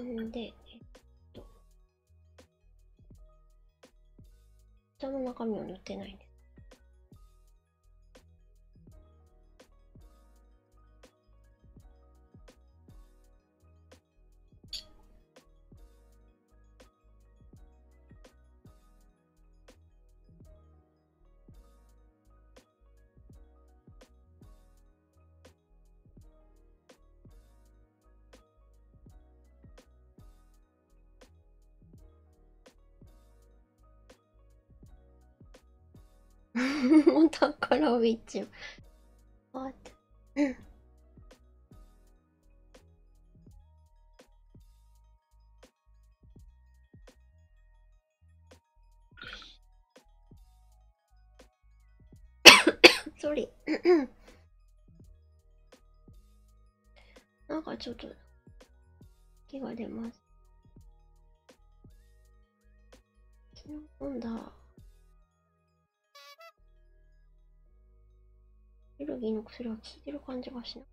んで、えっと。下の中身を塗ってないですもう宝ウィッチ。What? ソリ。なんかちょっと気が出ます。昨日飲んだ。エレルギーの薬は効いてる感じがしない。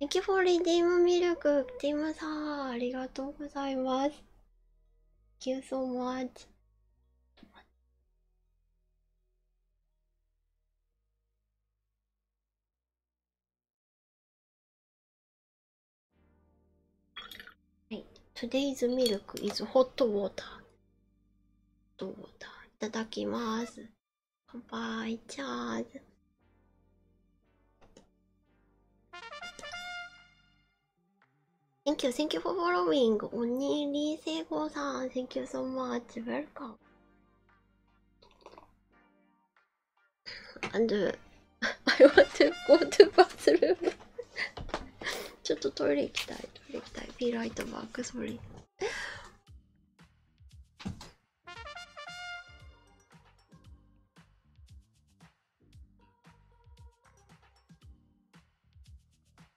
ネキフォリディムミルク、ティムさん、ありがとうございます。Thank you so much. はい Today's milk is hot water どうだいただきますバ杯チャーズセンキューセンキューフォーフォローウィングおにりせいごさんセンキューソーマ much welcome. And uh, I want to go to bathroom. ちょっとトイレ行きたい。トイレ行きたい。Be right back. Sorry.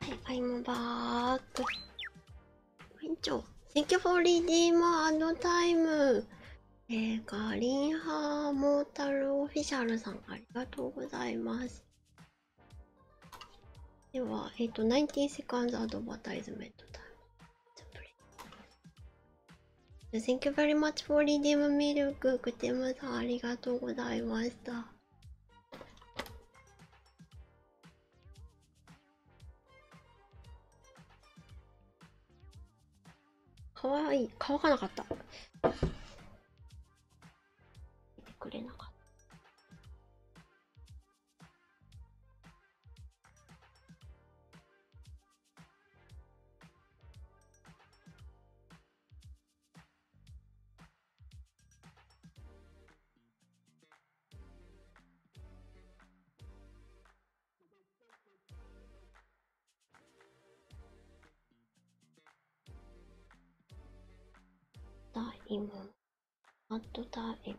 はい、ファイムバーッんにちは。Thank you for redeemer and time! えー、ガリンハーモータルオフィシャルさん、ありがとうございます。では、えっ、ー、と、19 seconds advertisement time. Thank you very much for redeeming milk. クテムさん、ありがとうございました。かわいい乾かなかった出てくれなかったタイムアットタイム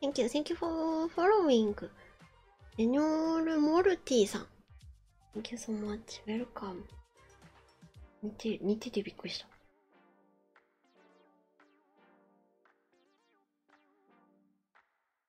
Thank you, thank you for following. Enol Morty さん。Thank you so much, welcome. 似て似ててびっくりした。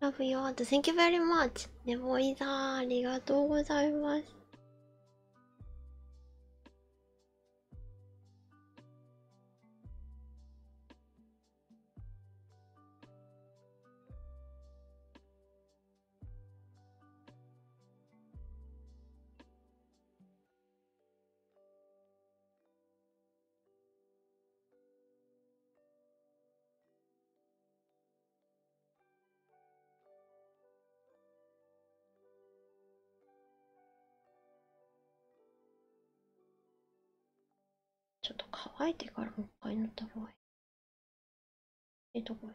Love you all. Thank you very much. ねぼいだー。ありがとうございます。ちょっと乾いてからもっ一い塗った方がいい。えっと、これ。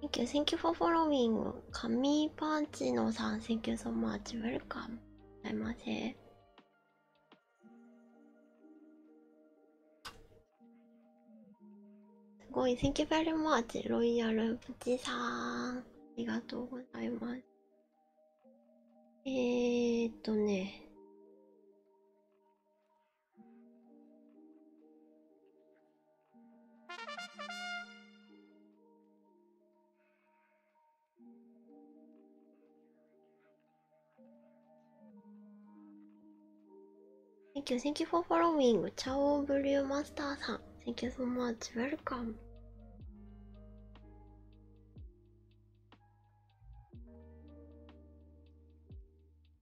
Thank you, thank you for following. 神パンチのさん、thank you so much. Welcome. ございませ。すごい、thank you very much. ロイヤルプチさん。ありがとうございます。えー、っとね。Thank you, thank you for following. Ciao, Blue Monster. -san. Thank you so much. Welcome.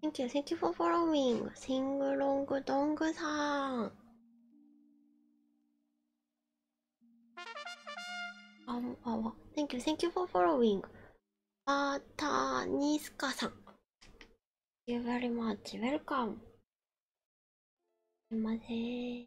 Thank you, thank you for following. Sing long dong song. Um, oh, thank you, thank you for following. Bata Niska san. Thank you very much. Welcome. すいません。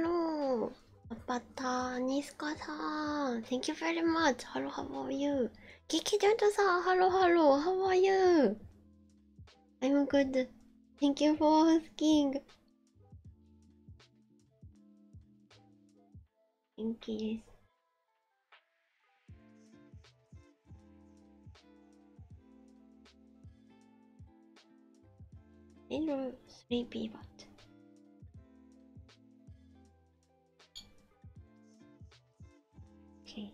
Hello, Abata, niska Thank you very much. Hello, how are you? Kiki Jonto-san, hello, hello, how are you? I'm good. Thank you for asking. Thank you. Hello, sleepy Okay.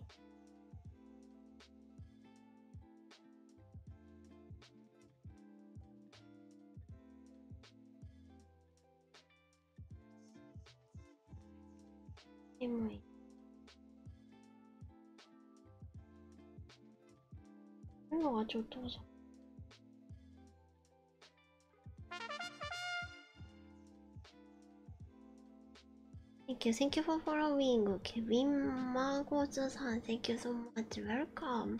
Anyway. 햄버거가좀떨어 져. Thank you, thank you for following Kevin Magozu san. Thank you so much. Welcome.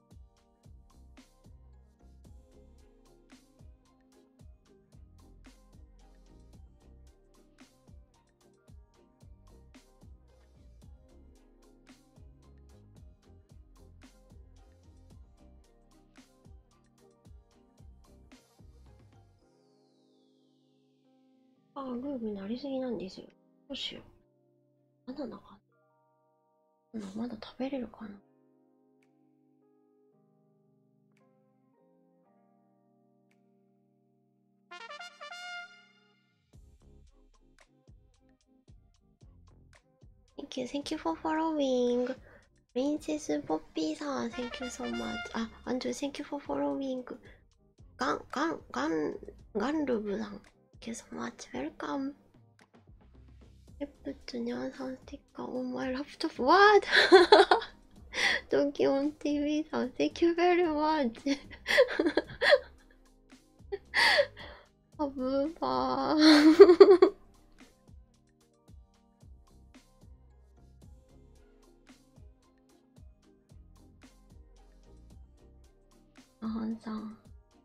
ああ、グーグーなりすぎなんですよ。どうしよう。バナナかまだ食べれるかな？Thank you, thank you for following. Thank プリンセスポッピーさん、Thank you so much. a あ、アンドゥ、Thank you for following. you ガン、ガン、ガン、ガン u ブさん、Thank you so much. Welcome. レプトニ u ンさん、Thank sticker on my laptop. What? Donkey on TV さん、thank you very much. あぶーばー。あはんさん、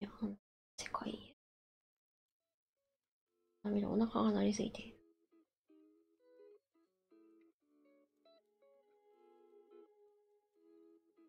いや、ほん、世界。ダメお腹が鳴りすぎて。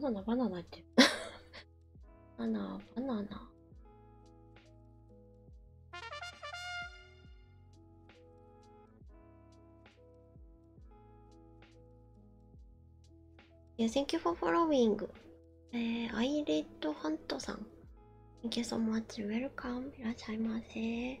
バナナバナナってバナナバナナいや、Thank you for following. えー、アイレッドハントさん。Thank you so much. Welcome. いらっしゃいませ。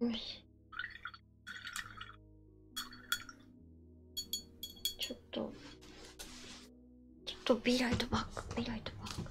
よし。ちょっと、ちょっとビライトバック、ビライトバック。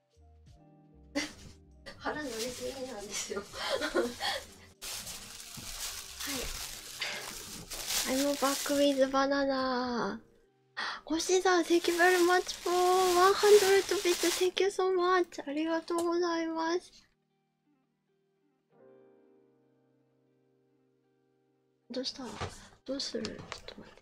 腹乗りすぎなんですよはい I'm back with banana 星さん thank you very much for 100 bits thank you so much ありがとうございますどうしたどうするちょっと待って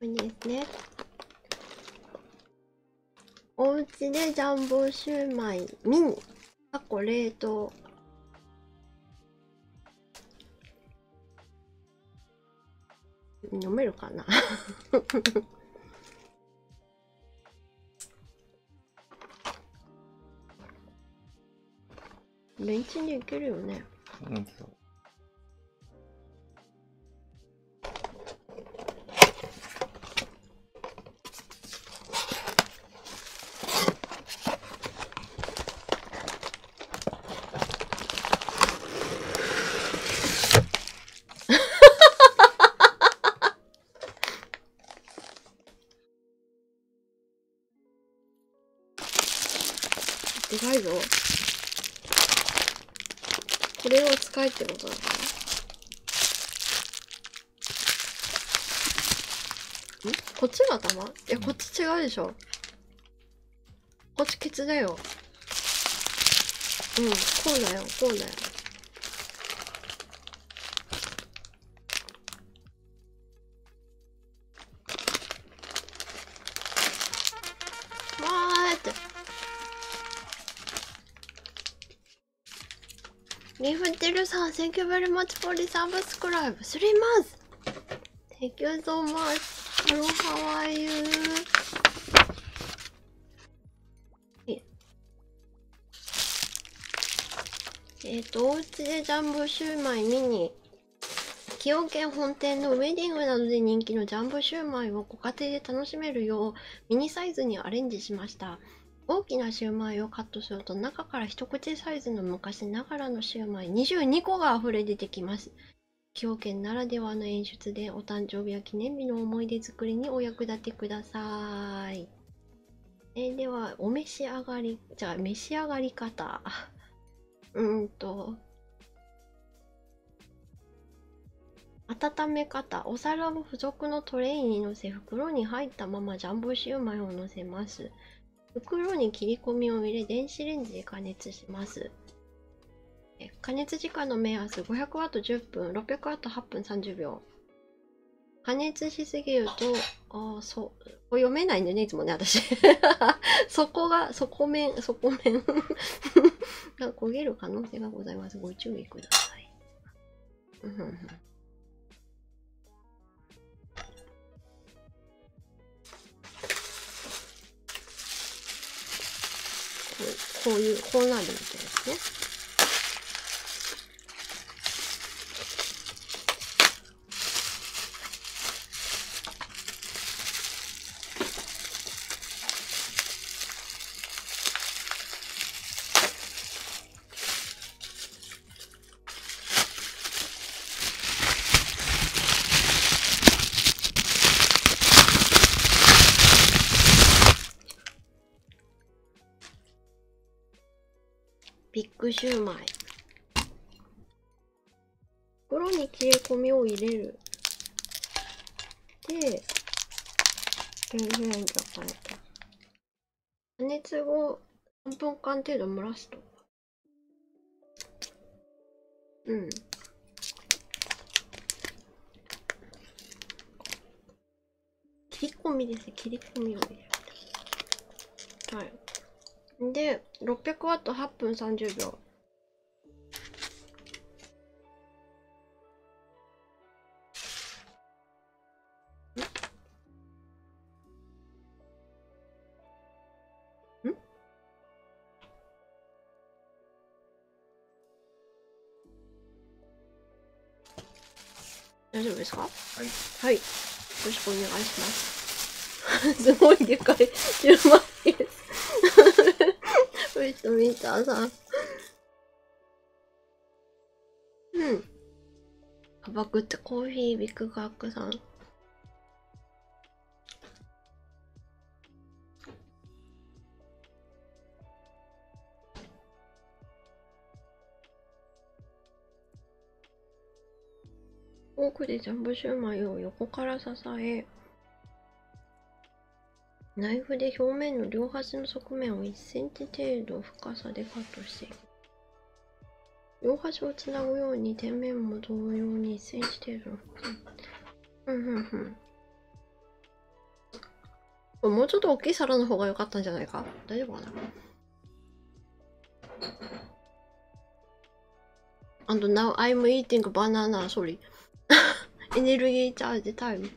これですねおうちでジャンボシューマイミン、タコ、冷凍飲めるかな ベンチに行けるよね。うんでかいぞ。これを使えってことなのから。んこっちが頭いや、こっち違うでしょ。こっちケツだよ。うん、こうだよ、こうだよ。リーフテルさん、Thank you very much for the subscribe! 3 months! Thank you so much! Hello, how are you? えっ、ー、と、おうちでジャンボシューマイ見に崎陽軒本店のウェディングなどで人気のジャンボシューマイをご家庭で楽しめるようミニサイズにアレンジしました大きなシューマイをカットすると中から一口サイズの昔ながらのシューマイ22個があふれ出てきます崎陽軒ならではの演出でお誕生日や記念日の思い出作りにお役立てくださいえではお召し上がりじゃあ召し上がり方うんと温め方お皿を付属のトレインにのせ袋に入ったままジャンボシューマイをのせます袋に切り込みを入れ電子レンジで加熱します加熱時間の目安 500W10 分 600W8 分30秒加熱しすぎるとああそうこ読めないんだよね、いつもね、私。そこが、そこ面、そこ面が 焦げる可能性がございます。ご注意ください。こういう、こうなるみたいですね。ピックシューマイ袋に切れ込みを入れる。で、電子レンジを変えた。加熱後、3分間程度蒸らすと。うん。切り込みです。切り込みを入れる。はい。で、600ワット8分30秒。大丈夫ですかはい、よろしくお願いします すごいでかい広まって見た見たさうんあばくってコーヒービッグガックさんフォークでジャンボシューマイを横から支えナイフで表面の両端の側面を 1cm 程度深さでカットして両端をつなぐように底面も同様に 1cm 程度の深さんうんうんもうちょっと大きい皿の方が良かったんじゃないか大丈夫かな And now I'm eating banana, sorry. Energy charge time.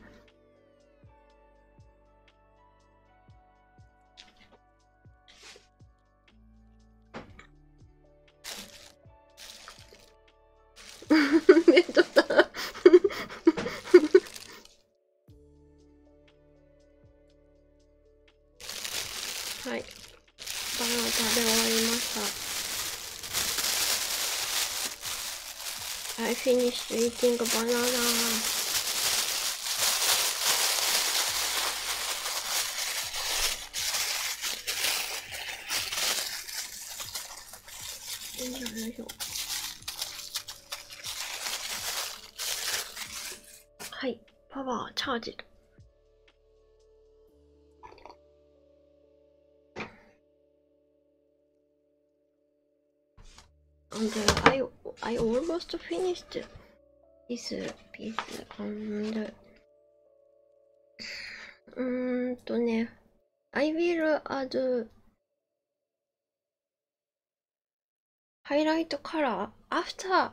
バナナで終わりました I finished e a t ナ n g banana はい、パワーチャージ And uh, I I almost finished this piece and うんとね I will add highlight color after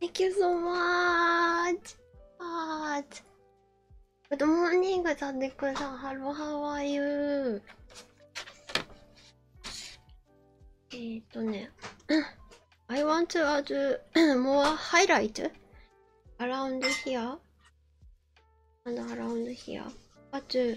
Thank you so much! Heart. Good morning, Sadeko-san. Hello, how are you? えーっとね。I want to add more highlight around here and around here. But till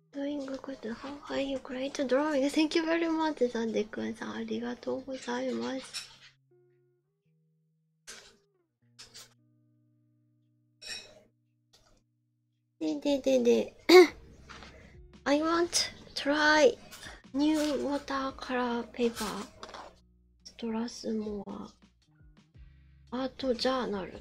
doing good. How are you? Great drawing. Thank you very much, Sandekun. ありがとうございます。でででで I want try new water color paper ストラスモアアートジャーナル